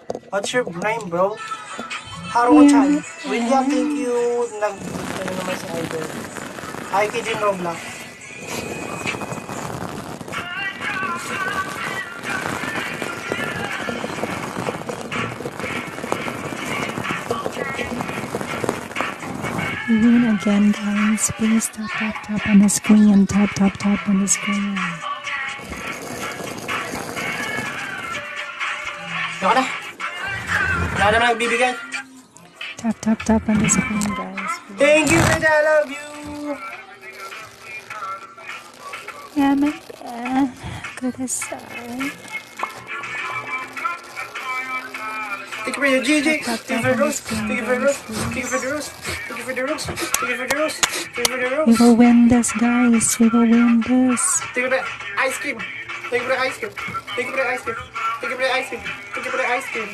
What's your name, bro? Haro Chan. William, mm-hmm. thank you. Nag, ano naman sa idol. Hi, Kijin Robla. Even again, guys, please tap tap tap on the screen, tap tap tap on the screen. Got it. Wala naman nagbibigay. Tap, tap, tap on the screen, guys. Thank you, Fred. I love you. Yaman yeah, pa. Kudasai. Thank you for your GG. Thank you for the rose. Thank you for the rose. Thank you for the rose. Thank you for the rose. Thank you for the rose. Thank you for the rose. We will win this, guys. We will win this. Thank you for the ice cream. Thank you for the ice cream. Thank you for the ice cream. Thank you for the ice cream. Thank you for the ice cream.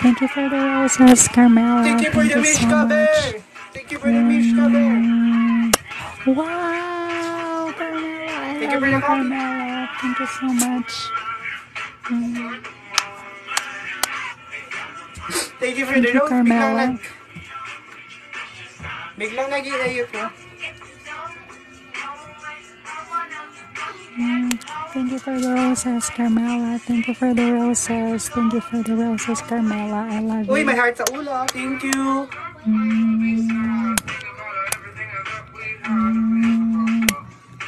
Thank you for the roses, Carmela. Thank you for Thank the Mishka so bear. Thank you for the Mishka bear. Mm. Wow, Carmela. I Thank love you for the Carmela. Thank you so much. Mm. Thank you for Thank the you, Carmela. Mm, thank you for the roses, Carmela. Thank you for the roses. Thank you for the roses, Carmela. I love Uy, you. Uy, my heart sa Thank you. Mm. Mm.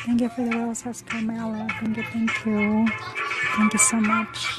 Thank you for the roses, Carmela. Thank you, thank you. Thank you so much.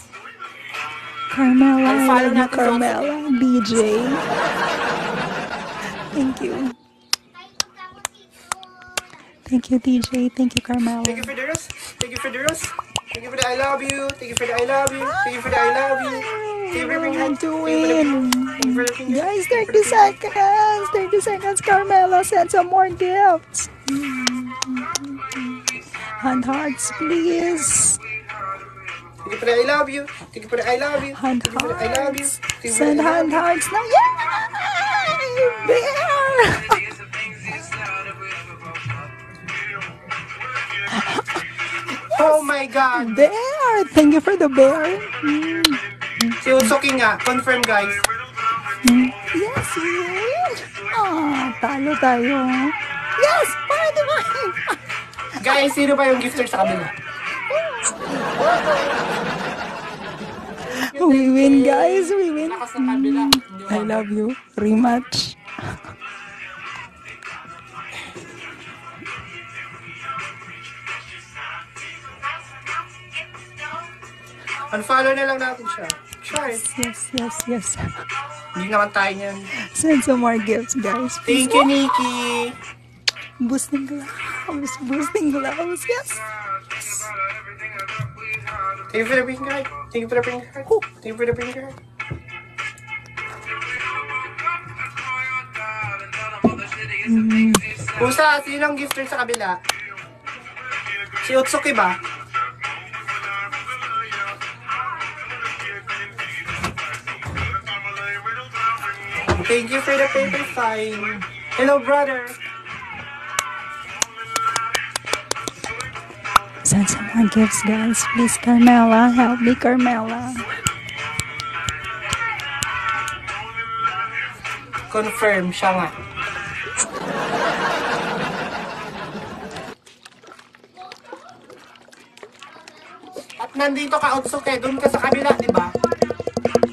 Carmela, Carmela, BJ. Thank you. Thank you, DJ. Thank you, Carmela. Thank you for the rose. Thank you for the Thank you for I love you. Thank you for the I love you. Thank you for the I love you. Thank you to win. Guys, 30 seconds. 30 seconds, Carmela. Send some more gifts. and hearts, please. Thank you for the I love you. Thank you for I love you. Hand Thank I love you. Send hand hugs now. Yay! Bear! Oh my God! Bear! Thank you for the bear. Mm. Si Usoki nga. Confirm, guys. Mm. Yes, yes! talo tayo. Yes! Party, party! Guys, sino pa yung gifter sa kabila? We win, guys. We win. I love you. Rematch. Unfollow na lang natin siya. Try. Yes, yes, yes. Hindi naman tayo yan. Send some more gifts, guys. Please. Thank you, Nikki. Boosting gloves. Boosting gloves. Yes. yes. Thank you for the pink card. Thank you for the pink card. Oh. Thank you for the pink card. Mm. Usa, sino ang gifter sa kabila? Si Utsuki ba? Thank you for the paper sign. Hello, brother. Send some gifts, guys. Please, Carmela. Help me, Carmela. Confirm siya at nandito ka, Otsuke. Doon ka sa kabila, di ba?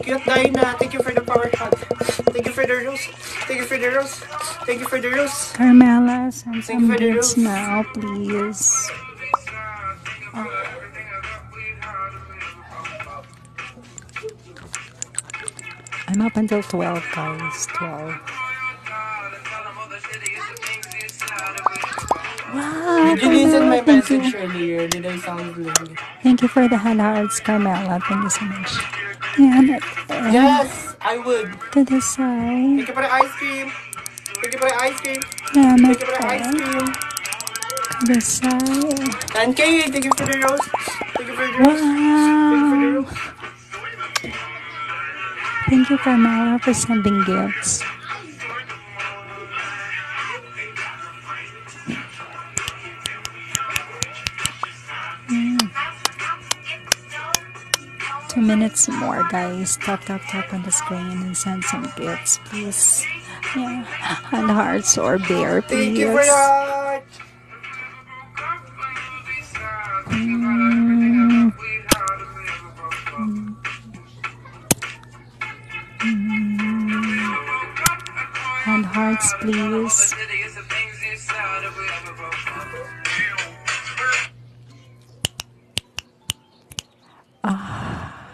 Cute guy na. Thank you for the power hug. Thank you for the rose. Thank you for the rose. Thank you for the rose. Carmela, send Thank some you for the bits rose. now, please. Oh. I'm up until 12, guys. 12. Wow, Did you listen my thank message you. earlier? Did I sound good? Thank you for the Hala Arts Carmela. Thank you so much. Yeah, not, uh, yes, I would. To the side. Thank you for the ice cream. Thank you for the ice cream. Yeah, my thank you for the ice cream. To the side. And Kay, thank you for the rose. Thank you for the rose. Wow. Thank you for the rose. Thank you, Carmela, for sending gifts. Mm. two minutes more guys tap tap tap on the screen and send some gifts please yeah and hearts or bear please Mm-hmm. And hearts, please. Ah.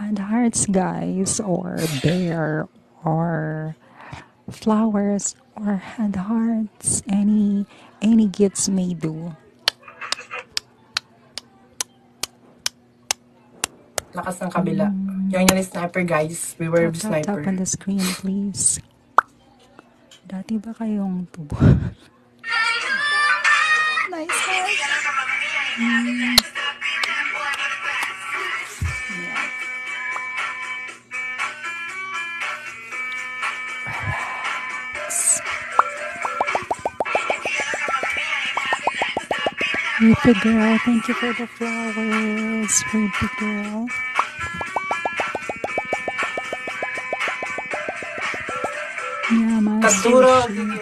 And hearts, guys, or bear, or flowers, or had hearts any any gets may do lakas ng kabila yung mm. yung sniper guys we were sniper tap, on the screen please dati ba kayong tubo [LAUGHS] nice guys Ruby girl, thank you for the flowers, Ruby girl. Minha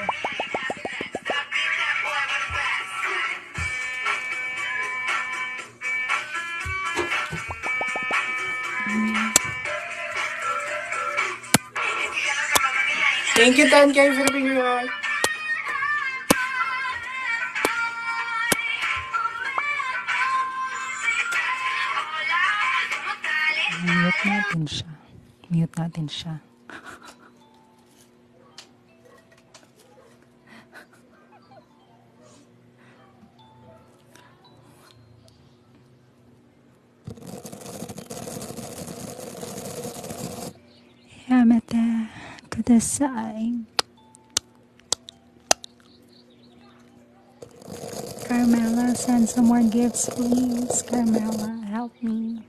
Thank you, thank you for being here. Mute natin siya. Mute natin siya. Yamete to Carmela, send some more gifts, please. Carmela, help me.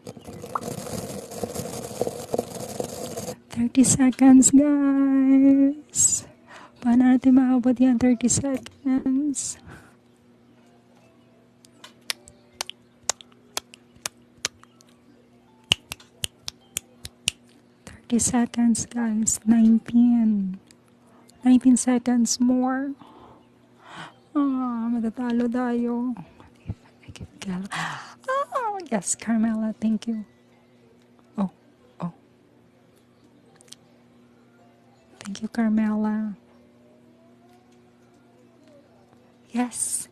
30 seconds, guys guys. Paano natin makabot 30 seconds. Thirty seconds, guys. nine pm, Nineteen seconds more. Ah, matatalo Oh, yes, Carmela, thank you. Oh, oh. Thank you, Carmela. Yes.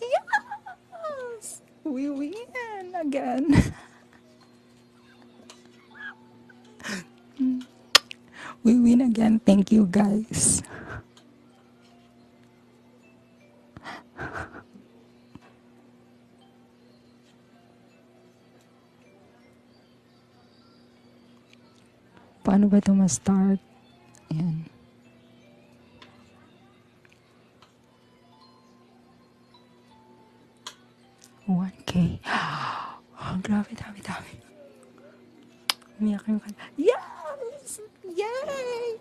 Yes. We win again. [LAUGHS] we win again. Thank you, guys. Paano ba ito ma-start? Ayan. One K. [GASPS] Oh, grabe, dami, dami. Umiyak yung kanta. Yes! Yay!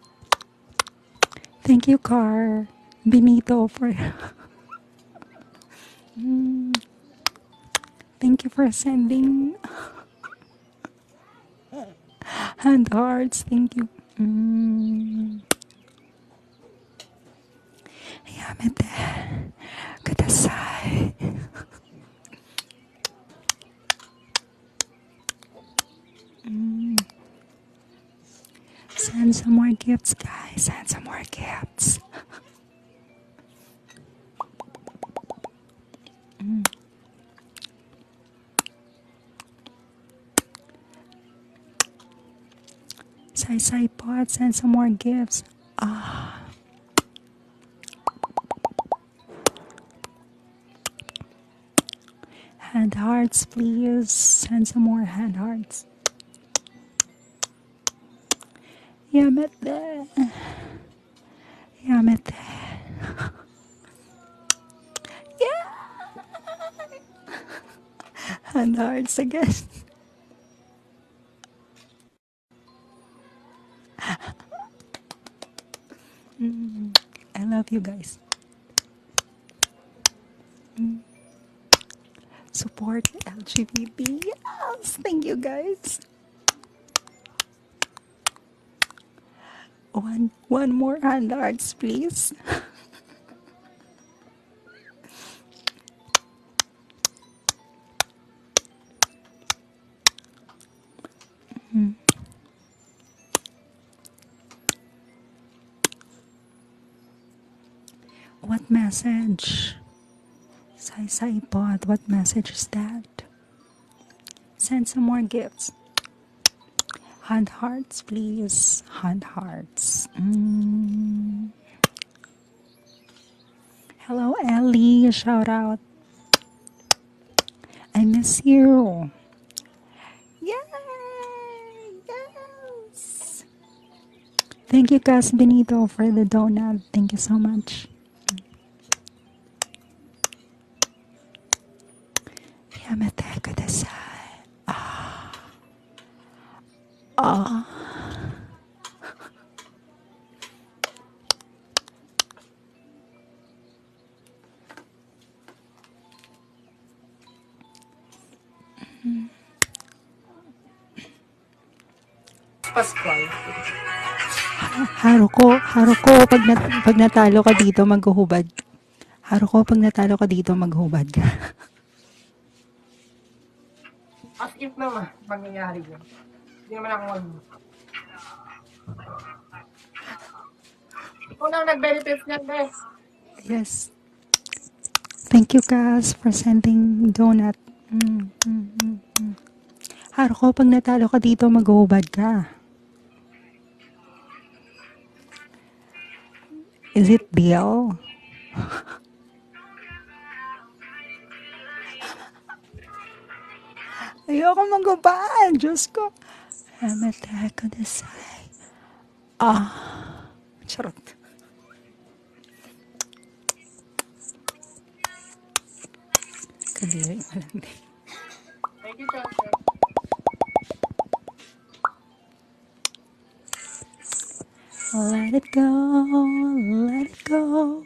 [LAUGHS] Thank you, Car. Benito, for... Mm. Thank you for sending hand hearts. Thank you. Mm. Send some more gifts, guys. Send some more gifts. mm. Sai Sai Pod, send some more gifts. Ah. Hand hearts, please. Send some more hand hearts. Yamete, yamete. [LAUGHS] yeah! and hearts again [LAUGHS] mm, I love you guys mm. Support LGBT. Yes, thank you guys. One one more hand arts, please. [LAUGHS] -hmm. What message? Say say Pod, what message is that? Send some more gifts. Hand hearts, please. Hand hearts. Mm. Hello, Ellie. Shout out. I miss you. Yeah. Yes. Thank you, Cas Benito, for the donut. Thank you so much. Yamete kudasai. Ah. Ah. Pascual. Haro ko, haro ko, pag, nat pag natalo ka dito, maghuhubad. Haro ko, pag natalo ka dito, maghuhubad ka. As if naman, mangyayari yun. Hindi naman ako mag... Unang nag-benefit niyan, best. Yes. Thank you guys for sending donut. Mm, mm, mm, mm. Haro ko, pag natalo ka dito, maghuhubad ka. Is it deal? [LAUGHS] Ayoko maghubad. Diyos ko. I'm attack on the side. Ah. Charot. Let it go, let it go.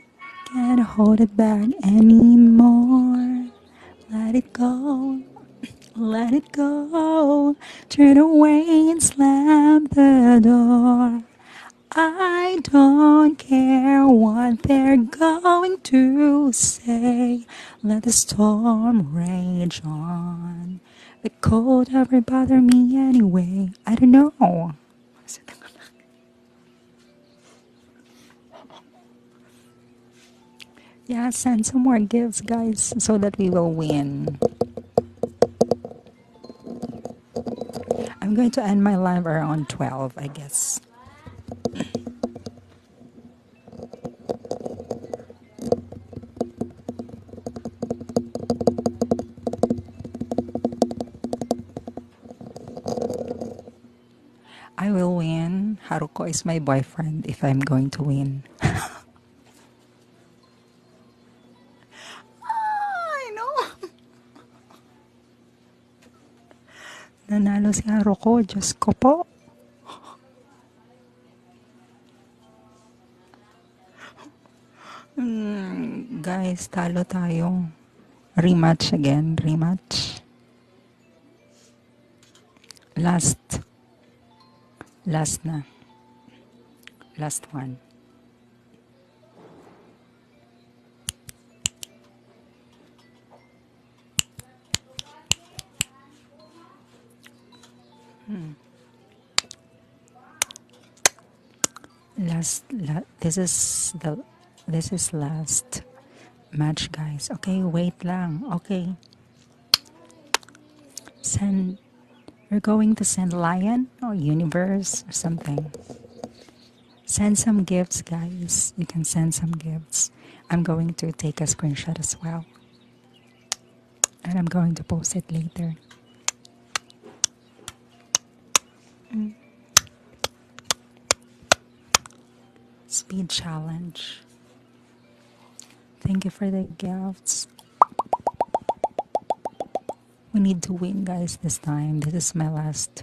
Can't hold it back anymore. Let it go, let it go turn away and slam the door. I don't care what they're going to say. Let the storm rage on. The cold won't bother me anyway. I don't know. Yeah, send some more gifts, guys, so that we will win. I'm going to end my live around 12, I guess. I will win. Haruko is my boyfriend if I'm going to win. [LAUGHS] Ay, no. Nanalo si Haro ko. Diyos ko po. Mm, guys, talo tayo. Rematch again. Rematch. Last. Last na. Last one. Hmm. Last, this is the this is last match guys okay wait long. okay send we are going to send lion or universe or something. Send some gifts, guys. You can send some gifts. I'm going to take a screenshot as well. And I'm going to post it later. Mm. Speed challenge. Thank you for the gifts. We need to win, guys, this time. This is my last.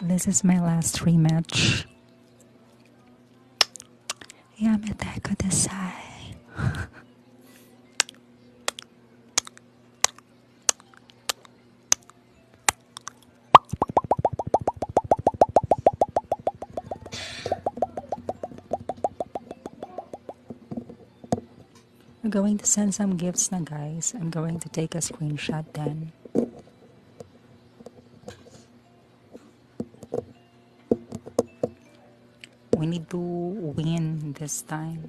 This is my last rematch. Yamateko Desai. We're going to send some gifts na guys. I'm going to take a screenshot then. We need to win this time.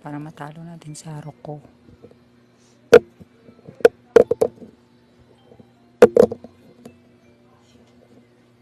Para matalo natin si Haruko.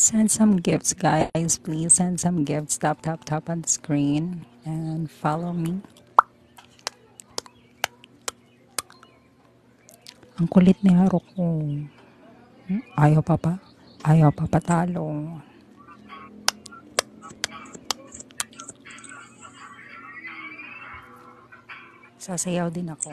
Send some gifts, guys. Please send some gifts. Tap, tap, tap on the screen and follow me. Ang kulit ni Haro ko. Hmm? Ayaw pa pa. Ayaw pa patalo. Sasayaw din ako.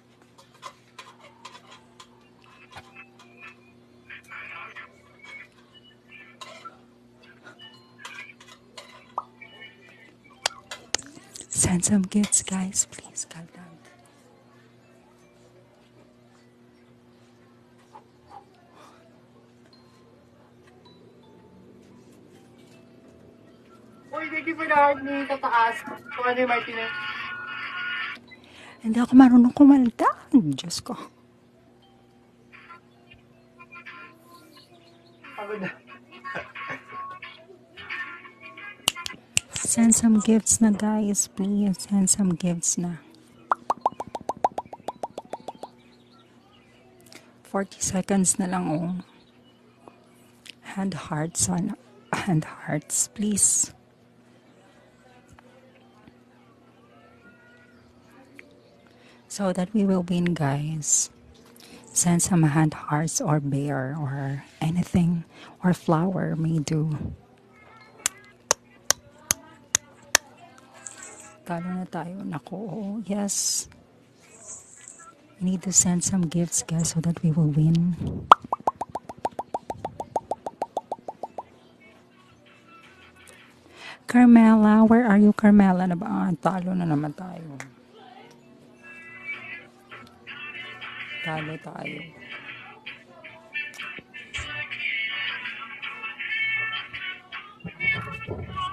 Send some gifts, guys, please. Calm down. Uy, hindi pinahard ni tataas. Kung ano yung Martinez. Hindi ako marunong kumalda. Diyos ko. Send some gifts na guys. Please send some gifts na. 40 seconds na lang oh. Hand hearts on hand hearts, please. so that we will win guys send some hand hearts or bear or anything or flower Me do talo na tayo nako oh, yes we need to send some gifts guys so that we will win Carmela, where are you, Carmela? Na ano ba? Ah, talo na naman tayo. Talo tayo.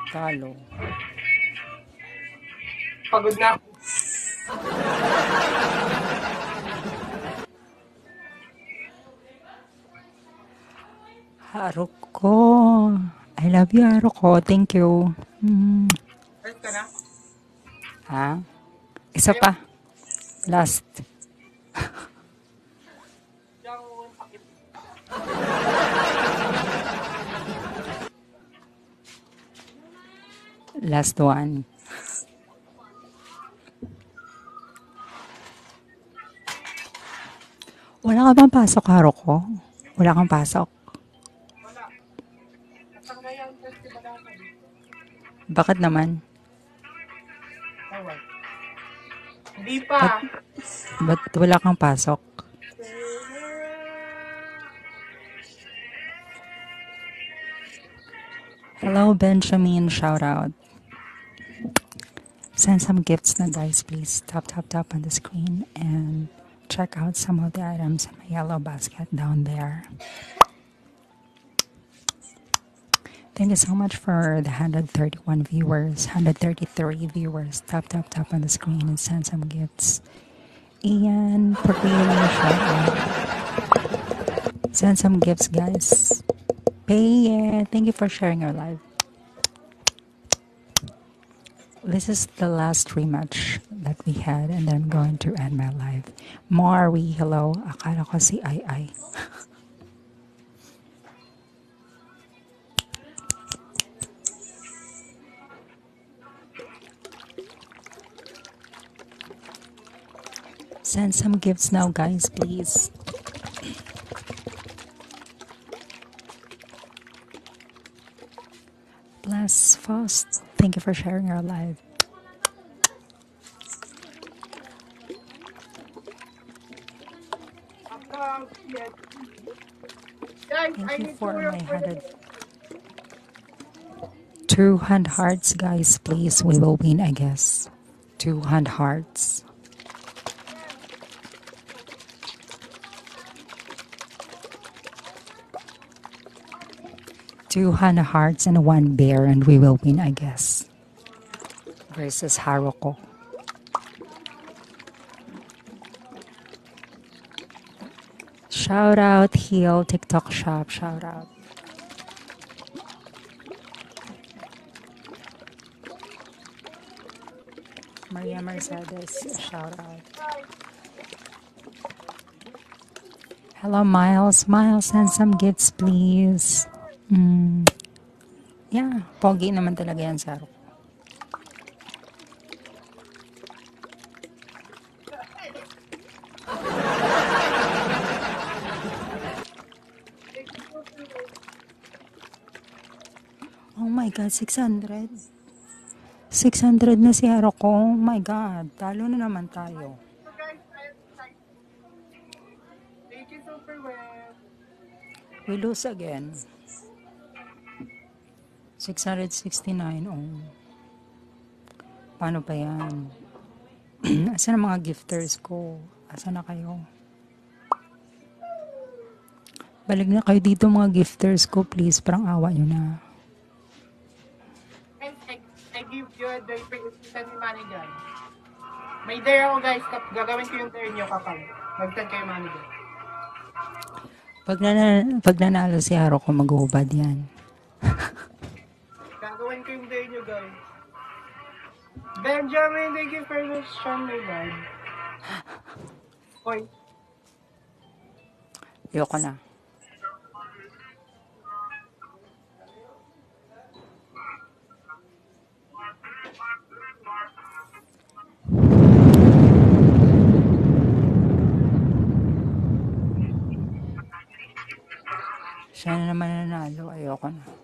Talo. Pagod na ako. Haruko. I love you, Haruko. Thank you. Mm. Help ka na? Ha? Isa pa. Last. [LAUGHS] Last one. Wala ka bang pasok, Haruko? Wala kang pasok? Bakit naman? Hindi pa. Ba't, ba't wala kang pasok? Hello, Benjamin. Shout out. Send some gifts guys! please. Tap, tap, tap on the screen and check out some of the items in my yellow basket down there. Thank you so much for the 131 viewers, 133 viewers. Tap, tap, tap on the screen and send some gifts. And for being Send some gifts, guys. Payer, thank you for sharing your life. This is the last rematch that we had, and I'm going to end my life. Marwi, hello. Akala si Ai Send some gifts now, guys, please. Bless Faust. Thank you for sharing our live. Thank you for my hundred. Two hundred hearts, guys, please. We will win, I guess. 200 hearts. Two hundred hearts and one bear, and we will win, I guess. Versus Haruko. Shout out, Heal TikTok shop. Shout out. Maria Mercedes, shout out. Hello, Miles. Miles, send some gifts, please. Mm. Yeah, pogi naman talaga yan, Saro. Oh my God, 600. 600 na si Haro ko. Oh my God, talo na naman tayo. We lose again. 669. Oh. Paano pa yan? [CLEARS THROAT] Asan ang mga gifters ko? Asan na kayo? Balik na kayo dito mga gifters ko, please. Parang awa nyo na. I, I give you the presentation manager. May dare ako guys. Gagawin ko yung dare nyo kapag magtag kayo manager. Pag, nana, pag nanalo si Haro ko, maghuhubad yan. [LAUGHS] Gagawin ko yung day nyo, guys. Benjamin, thank you for the strong regard. Hoy. Ayoko na. Sana naman nanalo. Ayoko na.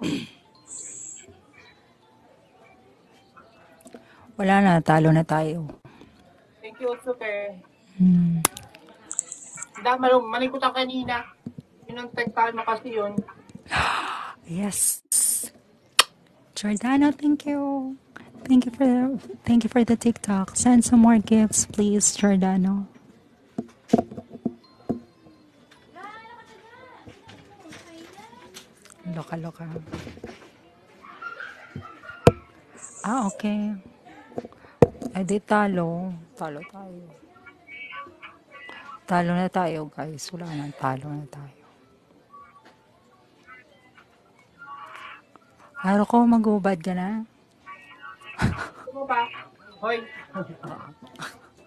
[CLEARS THROAT] Wala na, talo na tayo. Thank you, Super. Hmm. Dahil malung, malikot ako kanina. Pinantag tayo ano kasi yun. [GASPS] Yes. Jordana, thank you. Thank you for the, thank you for the TikTok. Send some more gifts, please, Jordano. Loka-loka. Ah, okay. Eh di talo. Talo tayo. Talo na tayo guys. Wala nang talo na tayo. Araw ah, ko, magubad ka na. Ano ba? Hoy. [LAUGHS]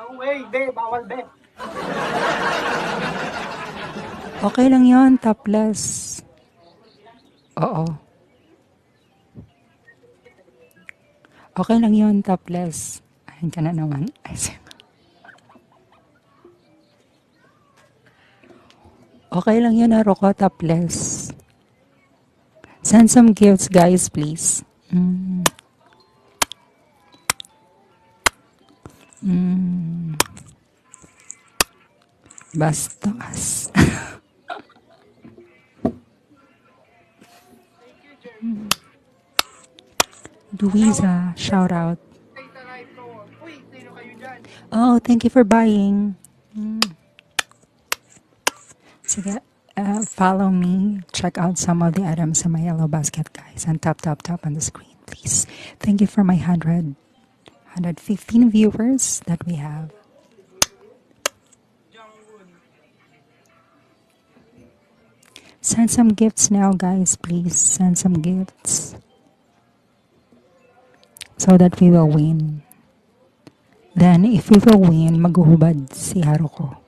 No way, be. Bawal, be. Okay lang yon topless. Oo. Okay lang yon topless. Ayan ka na naman. Okay lang yun, Haruko, topless. Send some gifts, guys, please. Mm. Mm. Bastos. Duiza, [LAUGHS] shout out. Oh, thank you for buying. Mm. So yeah, uh, follow me. Check out some of the items in my yellow basket, guys. And tap, tap, tap on the screen, please. Thank you for my 100, 115 viewers that we have. Send some gifts now, guys. Please send some gifts so that we will win. Then, if we will win, maghuhubad si Haruko.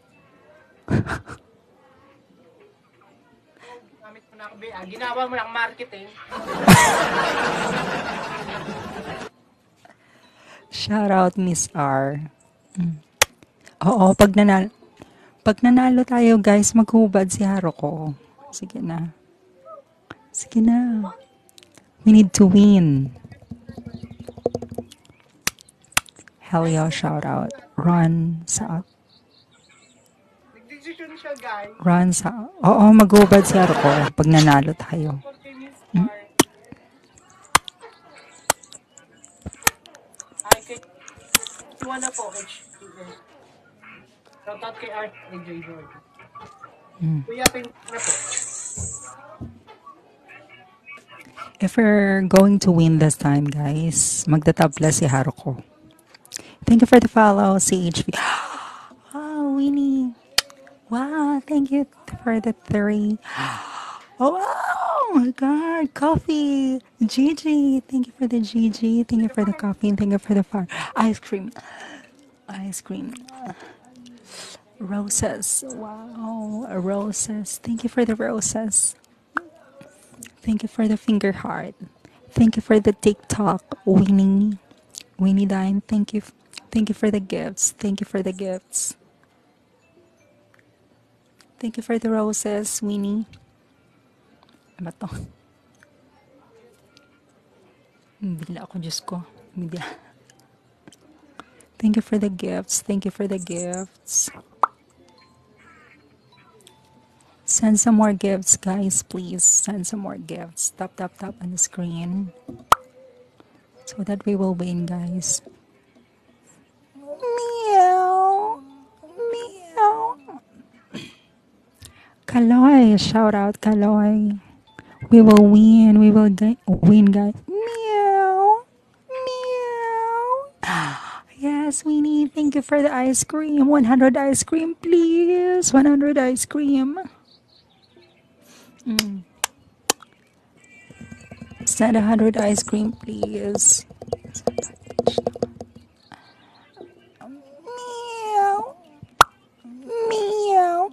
Gamit mo na ako, Bea. Ah, ginawa mo ng marketing. Shout out, Miss R. Mm. Oo, pag nanalo, pag nanalo tayo, guys, maghubad si Haruko. Sige na. Sige na. We need to win. Hell yeah, shout out. Run sa... Nagdesisyon siya, guys. Run sa... Oo, mag-ubad si Arco pag nanalo tayo. Hmm? I could... You wanna po, Shout out kay Art and J. Jordan. Hmm. If we're going to win this time, guys, magtatabla si Haruko. Thank you for the follow, CHV. [GASPS] Oh, Winnie. Wow, thank you for the three. [GASPS] Oh, my God, coffee. Gigi, thank you for the Gigi. Thank you for the coffee. And thank you for the far ice cream ice cream. Roses. Wow, roses. Thank you for the roses. Thank you for the finger heart. Thank you for the TikTok, Winnie. Winnie Dine, thank you. Thank you for the gifts. Thank you for the gifts. Thank you for the roses, Winnie. Ano to? Hindi ako, Diyos ko. Hindi Thank you for the gifts. Thank you for the gifts. Send some more gifts, guys. Please send some more gifts. Tap, tap, tap on the screen. So that we will win, guys. Meow. Meow. [CLEARS THROAT] Kaloy. Shout out, Kaloy. We will win. We will win, guys. Meow. Meow. [GASPS] Yes, we need. Thank you for the ice cream. 100 ice cream, please. 100 ice cream. Mm. Set 100 ice cream, please. Meow. Meow.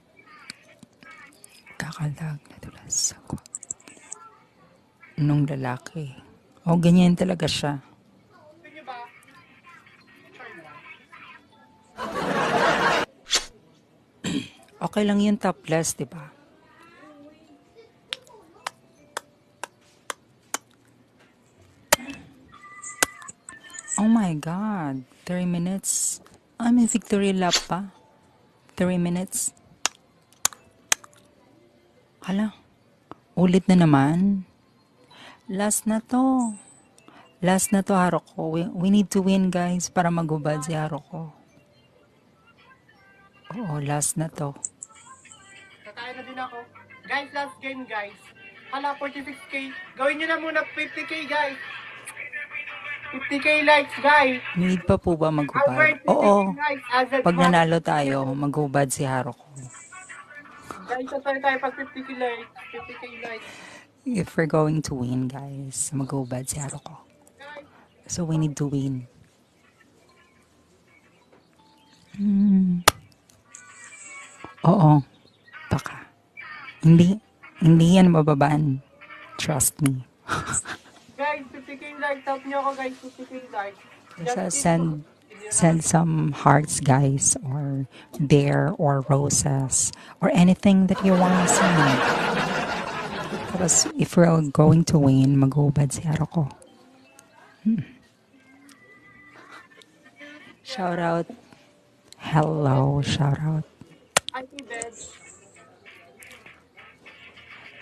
Kakalag na dulas ako. Nung lalaki. O, oh, ganyan talaga siya. [CLEARS THROAT] okay lang yung topless, di ba? Oh my God. 3 minutes. Ah, may victory lap pa. 3 minutes. Hala. Ulit na naman. Last na to. Last na to, Haruko. We, we need to win, guys, para magubad si Haruko. Oo, last na to. Tatayo na din ako. Guys, last game, guys. Hala, 46k. Gawin nyo na muna 50k, guys. 50k likes, guys. Need pa po ba maghubad? Oo. Pag nanalo tayo, maghubad si Haruko. Guys, tatay tayo pag 50k likes. 50k likes. If we're going to win, guys, maghubad si Haruko. So we need to win. Mm. Oo. Baka. Hindi, hindi yan mababaan. Trust me. guys, pipiking dark. Tap nyo ako guys, pipiking dark. Just so, send, send some hearts guys or bear or roses or anything that you want to send. Tapos, if we're going to win, mag-ubad si Aro ko. Hmm. Shout out Hello, shout out. Auntie Bebs.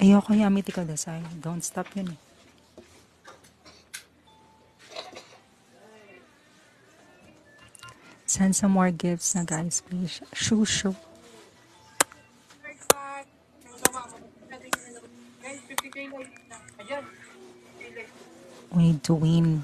Ayoko yung amity ko desay. Don't stop yun eh. Send some more gifts na guys, please. Shoo, shoo. We need to win.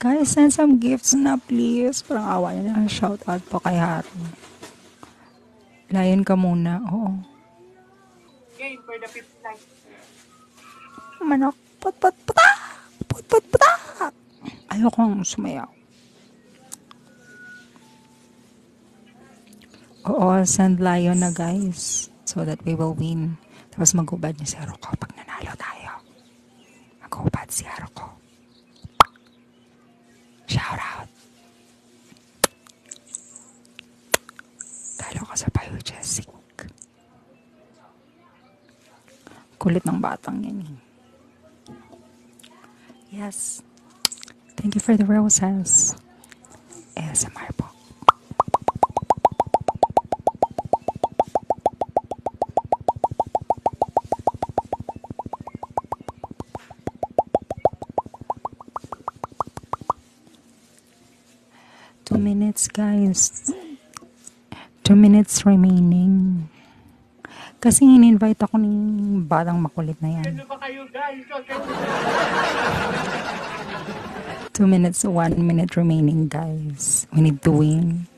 Guys, send some gifts na please. Parang awa niya na. Shout out po kay Haru. Layan ka muna. Oo. Game for the fifth night. Manok. Pat, pat, pata! Pat, pat, pata! Ayokong sumayaw. Oo, send Lion na guys. So that we will win. Tapos mag-ubad niya si Haru kapag nanalo tayo. Maghuhubad sigaro ko. Shout out! Talo ko sa payo, Jessic. Kulit ng batang yan eh. Yes. Thank you for the roses. ASMR po. Two minutes, guys. Two minutes remaining. Kasi in-invite ako ni batang makulit na yan. Ano ba kayo, guys? Two minutes, one minute remaining, guys. We need to win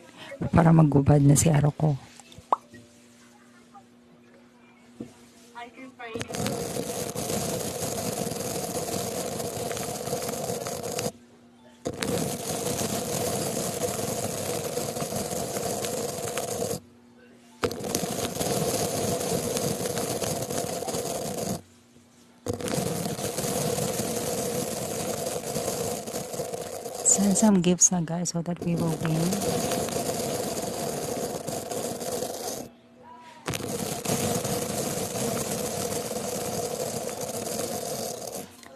para magubad na si araw ko. Send some gifts, na guys, so that we will win.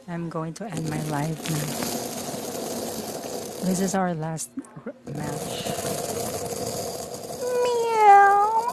I'm going to end my life now. This is our last match. Meow.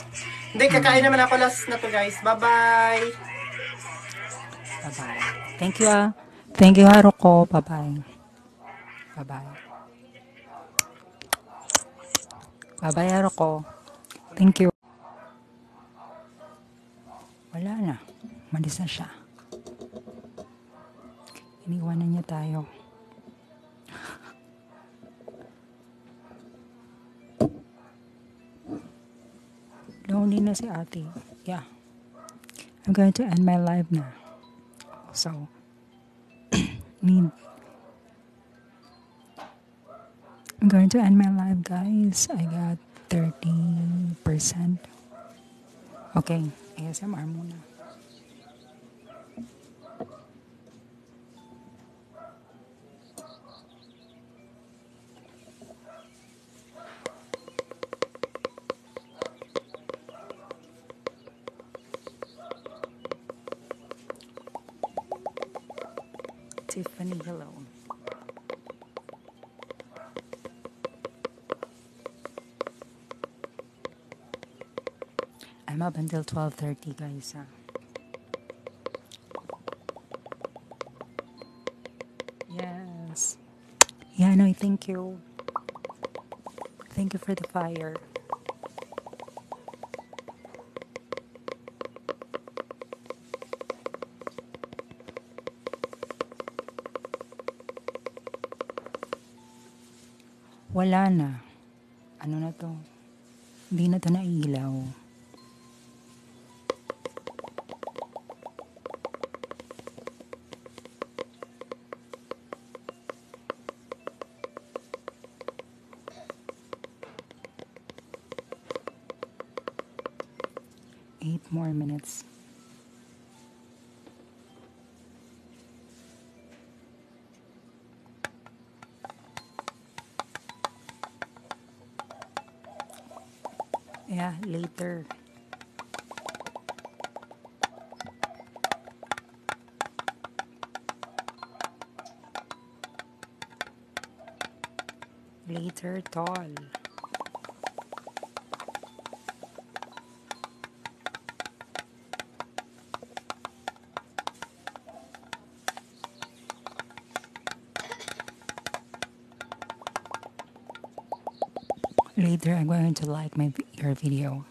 Hindi, kakain naman ako last na to guys. Bye-bye! Bye-bye. Thank you ah. Thank you Haruko. Ah, Bye-bye. Bye-bye. Bye-bye Haruko. Ah, Thank you. Wala na. Malis na siya. Iniwanan niya tayo. Loneliness, [LAUGHS] Ati. Yeah. I'm going to end my life now. So, [CLEARS THROAT] need. I'm going to end my life, guys. I got 30%. Okay, ASMR muna. Tiffany hello. I'm up until 12.30 guys ha. Yes. Yeah, I know. thank you. Thank you for the fire. Wala ano na to hindi na to nailaw eight more minutes Yeah, later. Later, tall. Later, I'm going to like my your video.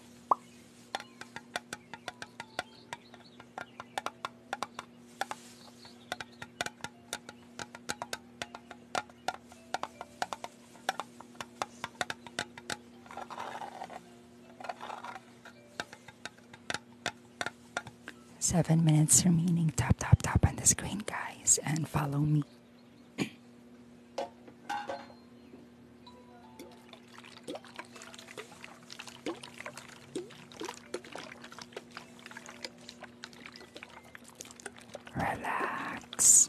Seven minutes remaining. Tap, tap, tap on the screen, guys, and follow me. Relax.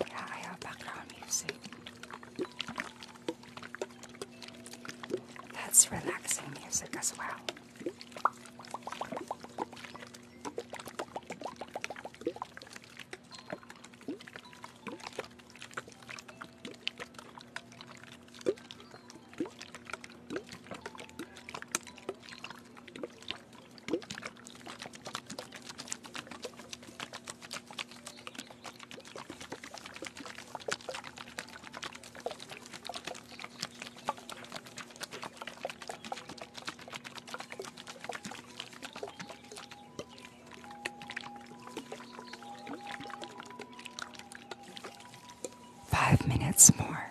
Yeah, I background music. That's relaxing music as well. Five minutes more.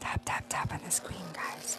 Tap, tap, tap on the screen, guys,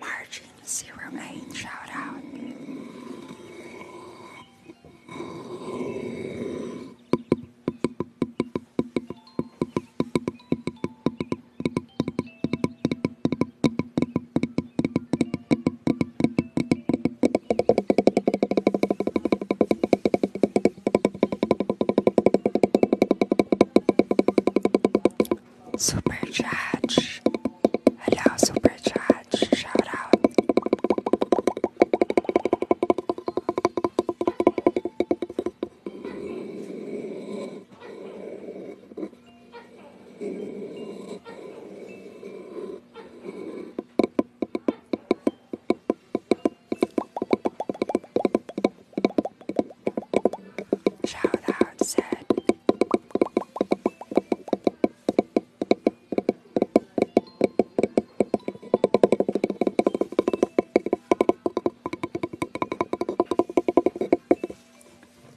Margin zero eight shout out. Supercharge. Hello, Supercharge. Shout out. Shout said.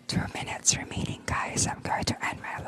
Two minutes remaining, guys. I'm going to end my live.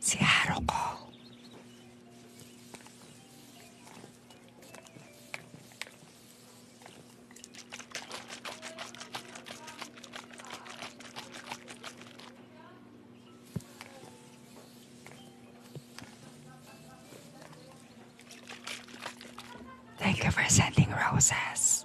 si Thank you for sending roses.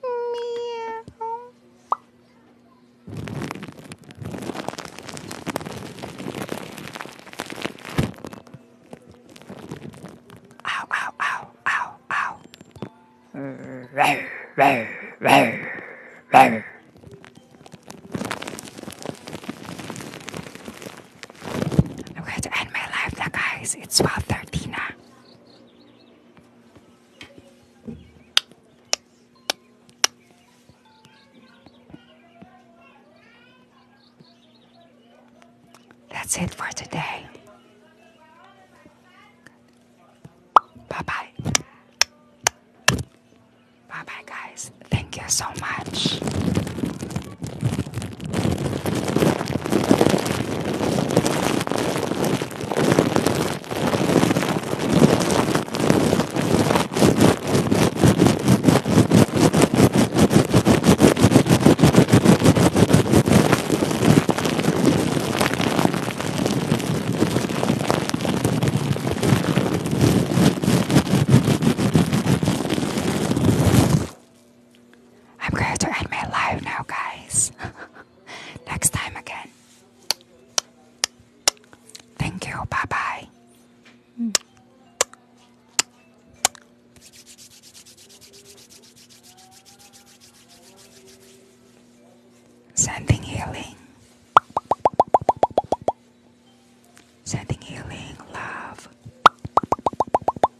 I'm going to end my life now, guys. It's 12.30 now. That's it for today. Bye bye. Bye bye, guys. Thank you so much. I'm going to end my live now, guys. [LAUGHS] Next time again. Thank you. Bye bye. Hmm. Sending healing. Sending healing, love,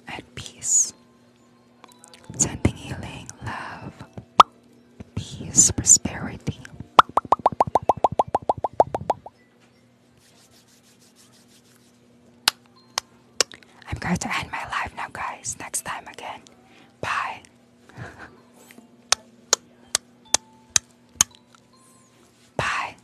and peace. Sending healing, love, peace, prosperity. I'm going to end my life now, guys. Next time again. Bye. [LAUGHS] Bye.